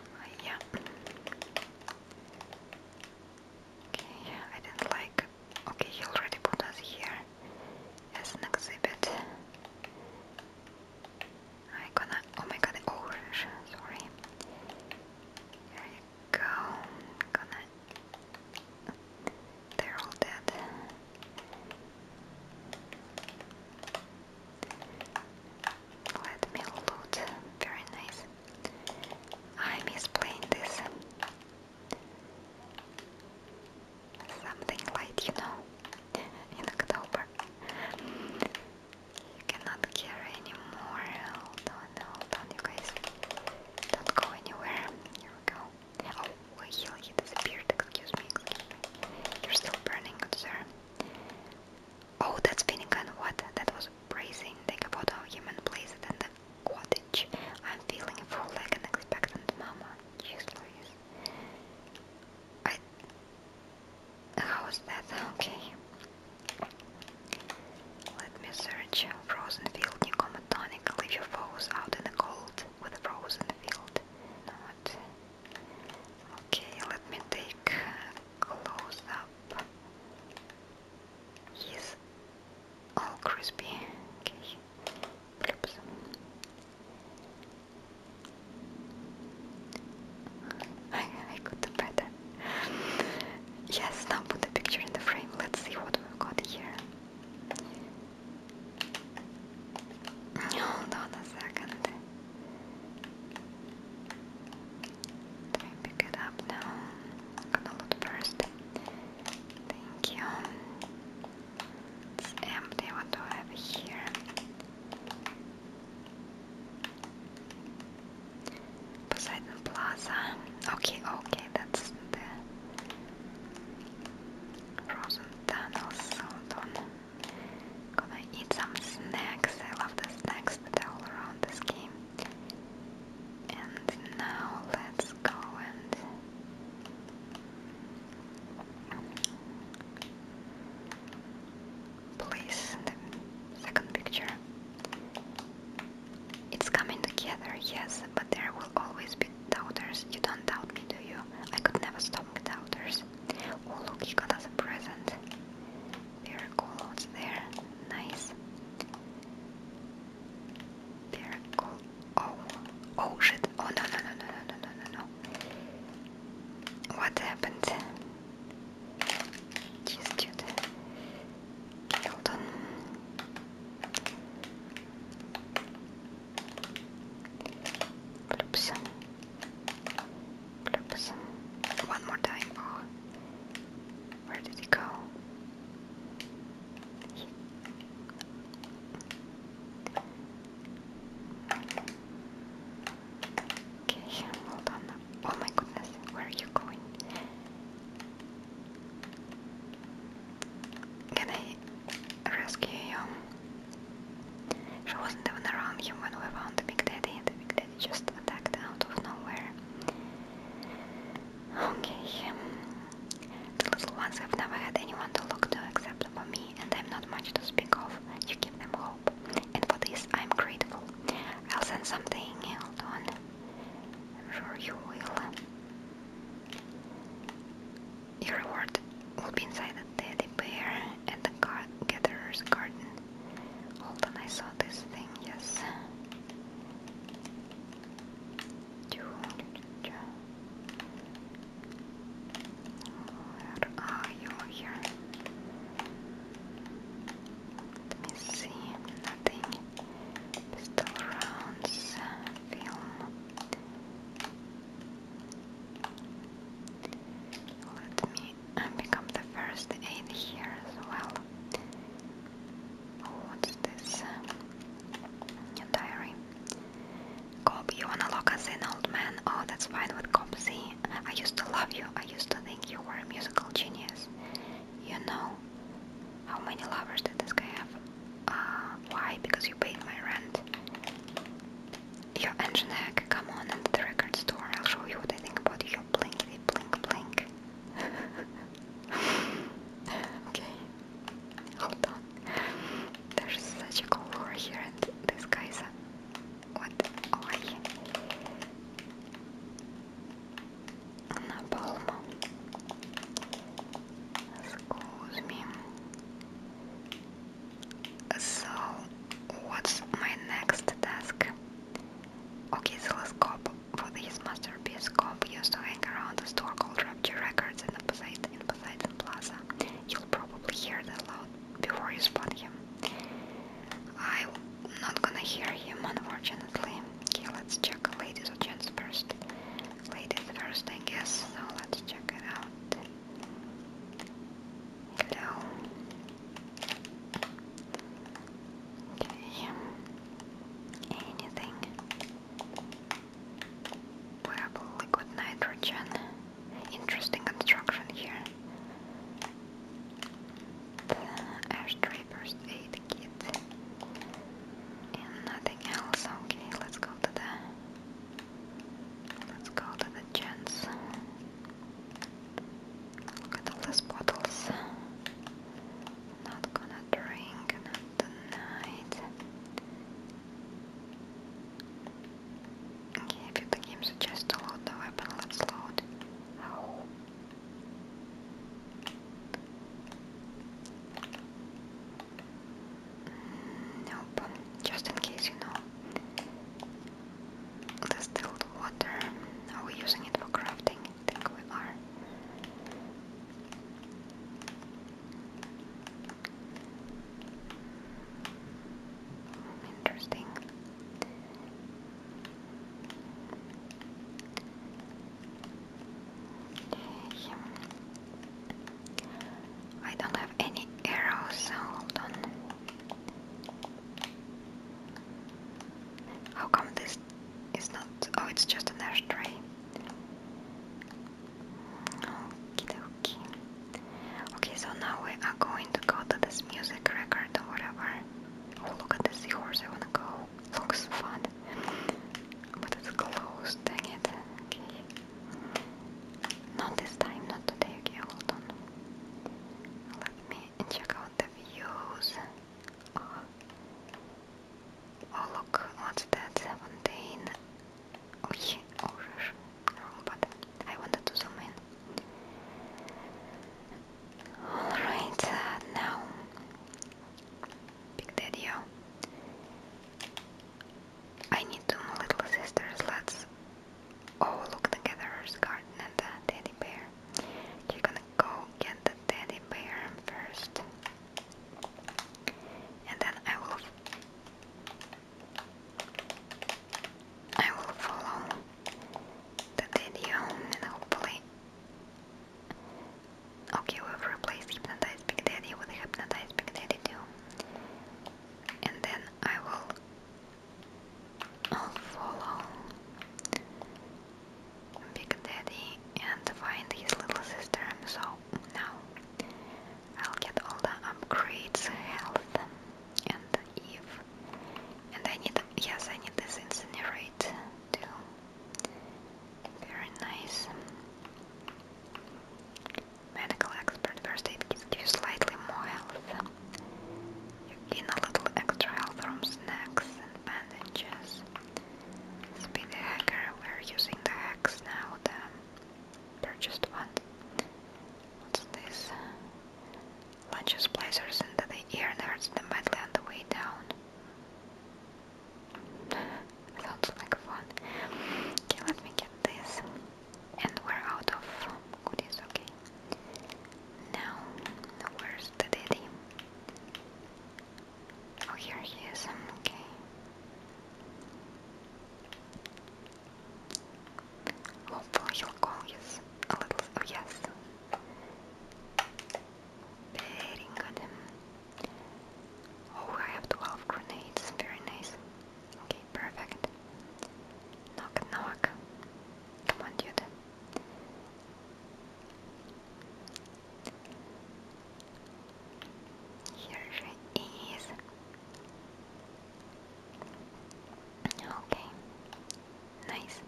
S1: Oh, yeah. Okay, I didn't like. Okay, he already put us here as an exhibit. I gonna. Oh my god, orange. Oh, sorry. There you go. They're all dead. Let me loot. Very nice. I miss playing this. Something light, you know, in October. You cannot carry anymore. Hold on, hold on, you guys. Don't go anywhere. Here we go. Oh, he, he disappeared, excuse me, You're still burning, sir. Oh, that's Finnegan, what? That was bracing. Think about how human place. it in the cottage. I'm feeling full like an expectant mama. Jeez Louise. I... How is that? Okay. Let me search. Frozen field, new comatonic. Leave your foes out in the cold with a frozen field. Okay, let me take close up. He's all crispy. Okay. I, I could do better. yes, now put the picture in the frame. Let's see what we've got here. Hold on a second. Let me pick it up now. i look first. Thank you. It's empty. What do I have here? Poseidon Plaza. Okay, okay, that's frozen tunnels sold on. Gonna eat some snacks. I love the snacks that are all around this game. And now let's go and place the second picture. It's coming together, yes, but there will always be doubters. You don't doubt me, do you? I could never stop with doubters. Oh, look, you got us a present. There are call there. Nice. There are Oh. Oh, shit. Oh, no, no, no, no, no, no, no, no. What happened? Jeez, dude. Hold on. Glipsum. Glipsum. One more time. Oh. Where did he go? Okay, hold on. Oh my goodness, where are you going? Can I rescue you? She wasn't even around him when we found the Big Daddy, the Big Daddy just attacked out of nowhere. Okay, the little ones have never had anyone to look to except for me, and I'm not much to speak of. You give them hope, and for this I'm grateful. I'll send something, hold on. sure you will. Your reward will be inside the teddy bear at the gatherer's garden. Hold on, I saw this thing, yes. Where are you here? Let me see, nothing. Pistol rounds, let me become the first aid here as well. What's this? Your diary. Cobb, you wanna lock us in, old man? Oh, that's fine with Cobsy. I used to love you. I used to think you were a musical genius. You know, how many lovers did this guy have? Ah, why? Because you paid my rent your engine hack, come on at the record store, I'll show you what I think about your blinky blink blink. okay, hold on. There's such a cool here and this guy's a... what? Oh, so, what's my next task? Okay, so Zeloscope. For his masterpiece scope used to hang around the store called Rapture Records in Poseidon, in Poseidon Plaza. You'll probably hear that loud before you spot him. I'm not gonna hear him, unfortunately. Okay, let's check ladies or gents first. Ladies first, I guess. So let's check it out. Hello. Okay. Anything? Wearable liquid nitrogen. Interesting construction here. The ash aid kit. And nothing else. Okay, let's go to the Let's go to the gents. Look at all these bottles. Not gonna drink, tonight. Okay, if the game suggests to load the weapon, let's load. Nope, just in case you know. Distilled water. Are we using it for crafting? I think we are. Interesting. Okay. I don't have any arrows, so hold on. How come this is not? Oh, it's just an ashtray. Okay, okay. so now we are going to go to this music record or whatever. Oh, look at the horse! I wanna go. Looks fun. But it's closed, dang it. Okay. Not this time, not today. Okay, hold on. Let me check out the views. Oh, oh look, what's that? 17. Oh oh shush. Wrong I wanted to zoom in. Alright, uh, now Big Daddy. I need two little sisters. Let's all look together at garden and the teddy bear. You're gonna go get the teddy bear first, and then I will. I will follow the video and hopefully. Okay, we've replaced Hypnotize Big Daddy with Hypnotize Big Daddy too. And then I will follow Big Daddy and find his little sister. So now I'll get all the upgrades, health, and Eve. And I need, yes, I need this incinerate too. Very nice. Medical expert first aid gives you slightly more health. You gain a little extra health from snacks and bandages. Speed hacker, we're using the hacks now, the purchased ones. What's this? Lunches placers into the ear and the medley on the way down. Sounds like fun. Okay, let me get this. And we're out of goodies, okay. Now, where's the daddy? Oh, here he is, okay. Hopefully he'll call a little, oh yes. Very good. Oh, I have 12 grenades, very nice. Okay, perfect. Knock, knock. Come on, dude. Here she is. Okay, nice.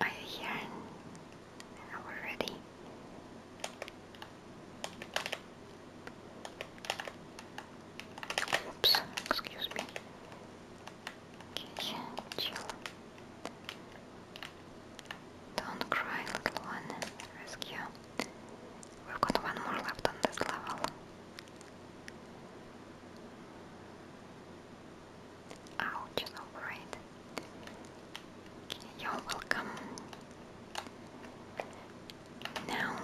S1: Are you here? Are Oops, excuse me. Okay, chill. Don't cry, little one. Rescue. We've got one more left on this level. Ouch, operate. you're welcome. Now,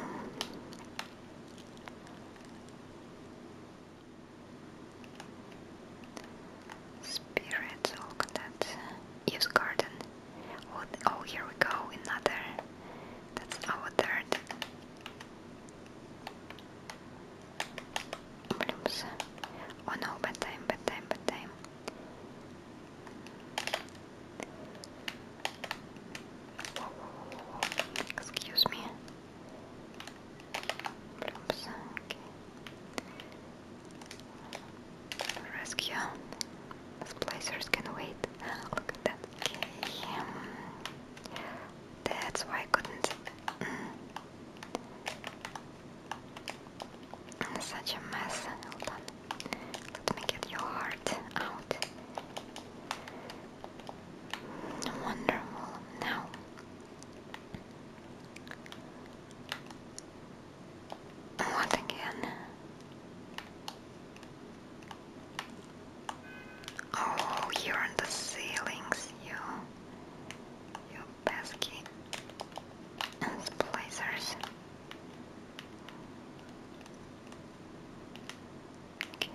S1: spirits. Oh, that use garden. Oh, oh, here we go. Another. That's our third. Blooms. Oh no, bedtime, bedtime, bedtime. Excuse me. Rescue. Splicers can wait. Ah, look at that. Okay. Um, that's why I couldn't. Mm. such a mess. Hold on. Let me get your heart out. Wonderful. Now, what again? Oh, you're on the ceilings, you, you pesky and Okay.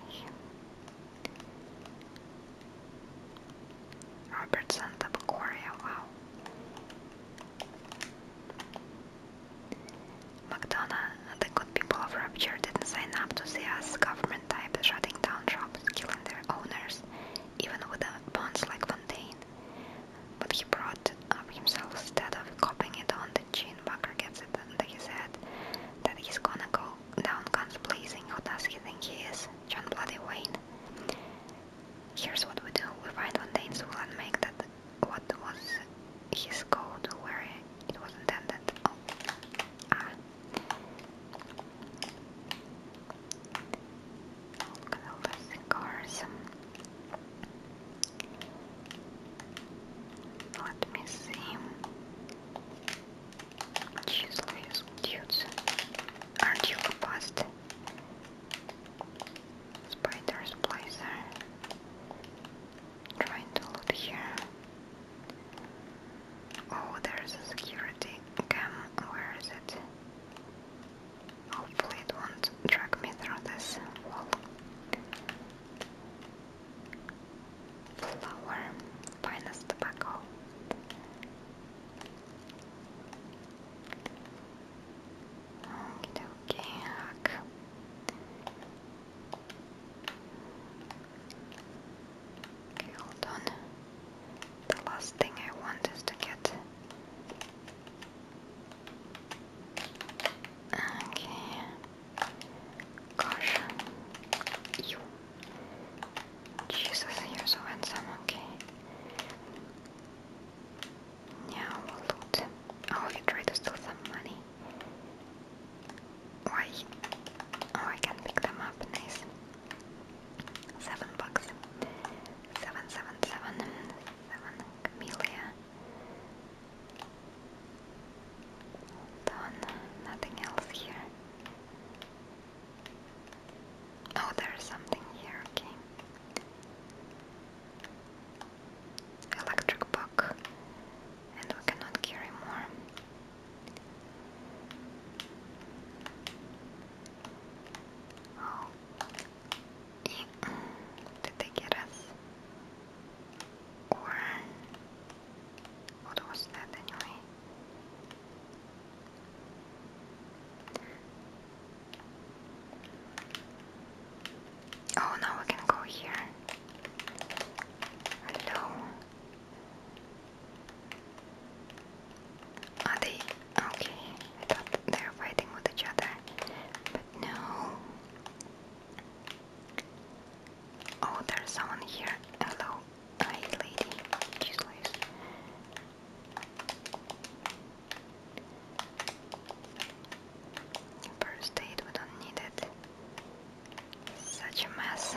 S1: Robertson, the wow. McDonough, the good people of Rapture didn't sign up to see us government type shutting down shops, killing their owners, even with a bonds like Fontaine. But he brought up himself instead of copying it on the chin. Bucker gets it under his head that he's gonna go down guns blazing. Who does he think he is? John Bloody Wayne. Here's what we do. We find one Danes who make that what was his code where it was intended. Oh. Ah. Look at all the cigars. Let me see. Useless dudes. Aren't you a bust? Spider's Trying to loot here. Oh, there's a security cam. Where is it? Hopefully it won't drag me through this wall flour, finest tobacco. Okay, okay, Okay, hold on. The last thing I want is to get. Okay. Gosh. You. Jesus, you're so handsome, okay. Now we'll loot. Oh, you try to steal some money. Why? Oh, I can pick them up, nice. Seven bucks. Seven, seven, seven. Seven. Done. Nothing else here. Oh, there's something here. Okay. Electric bug, and we cannot carry more. Oh, did they get us? Or what was that anyway? Oh, now we can go here. Hello. Are they okay? I thought they were fighting with each other, but no. Oh, there's someone here. Hello, hi, lady. Useless. First aid, we don't need it. Such a mess.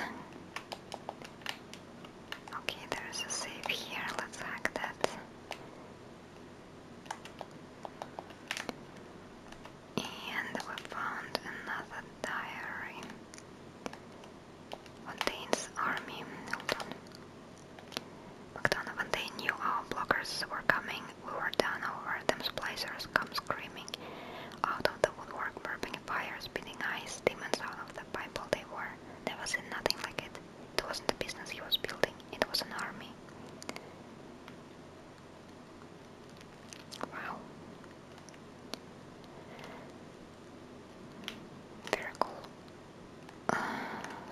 S1: Okay, there's a safe here. Let's hack that. And we found another diary. Van army. McDonough, when they knew our blockers were coming, we were done over. Them splicers come screaming out of the woodwork, burning fires, spitting ice, demons out of the Bible they were. Never seen nothing like it. It wasn't a business he was building, it was an army. Wow. Very cool. Uh,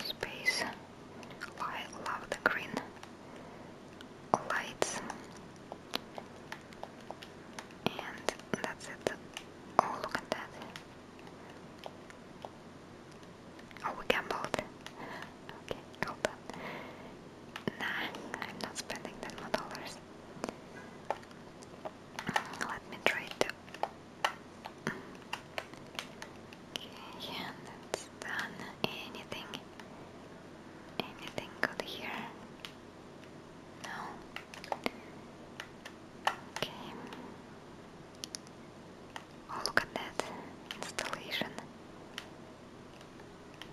S1: space. I love the green lights. And that's it. Oh, look at that. Oh, we gambled. Okay, hold on. Nah, I'm not spending that $10. Let me try to. Okay, yeah, done. Anything? Anything good here? No. Okay. Oh, look at that installation.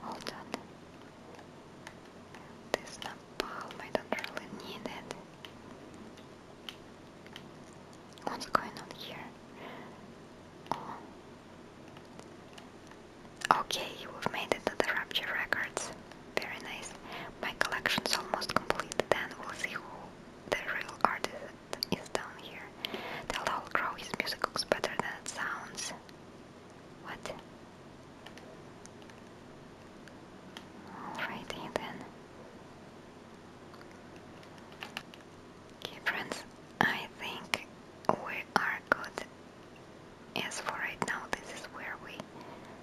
S1: Hold on. This napalm, I don't really need it. What's going on here? Oh. Okay, we've made it Rapture Records. Very nice. My collection's almost complete, then we'll see who the real artist is down here. Tell Owl Crow his music looks better than it sounds. What? Alrighty then. Okay, friends, I think we are good. As for right now, this is where we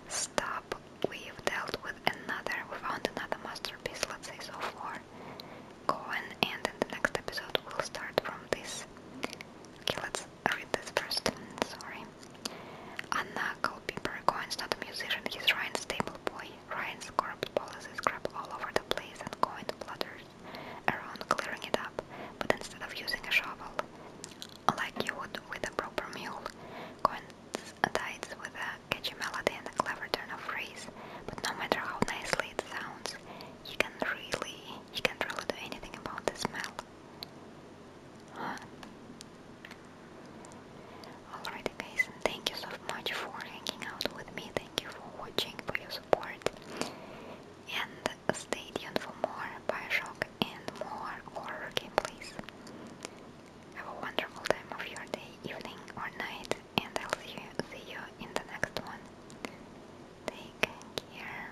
S1: stop. We've dealt with another, we found another masterpiece, let's say so far. Go on, and in the next episode, we'll start from this. Okay, let's read oh, this first, sorry. Anna Culpeper Cohen's not a musician, he's Ryan's stable boy. Ryan's corrupt policies crap all over the place and Cohen flutters around clearing it up, but instead of using a shovel, like you would with a proper mule, Cohen dies with a catchy melody and a clever turn of phrase, but no matter how nicely it sounds, you can really, you can't really do anything about the smell. Alright guys, thank you so much for hanging out with me, thank you for watching, for your support and stay tuned for more Bioshock and more horror gameplays. Have a wonderful time of your day, evening or night and I'll see you, see you in the next one. Take care.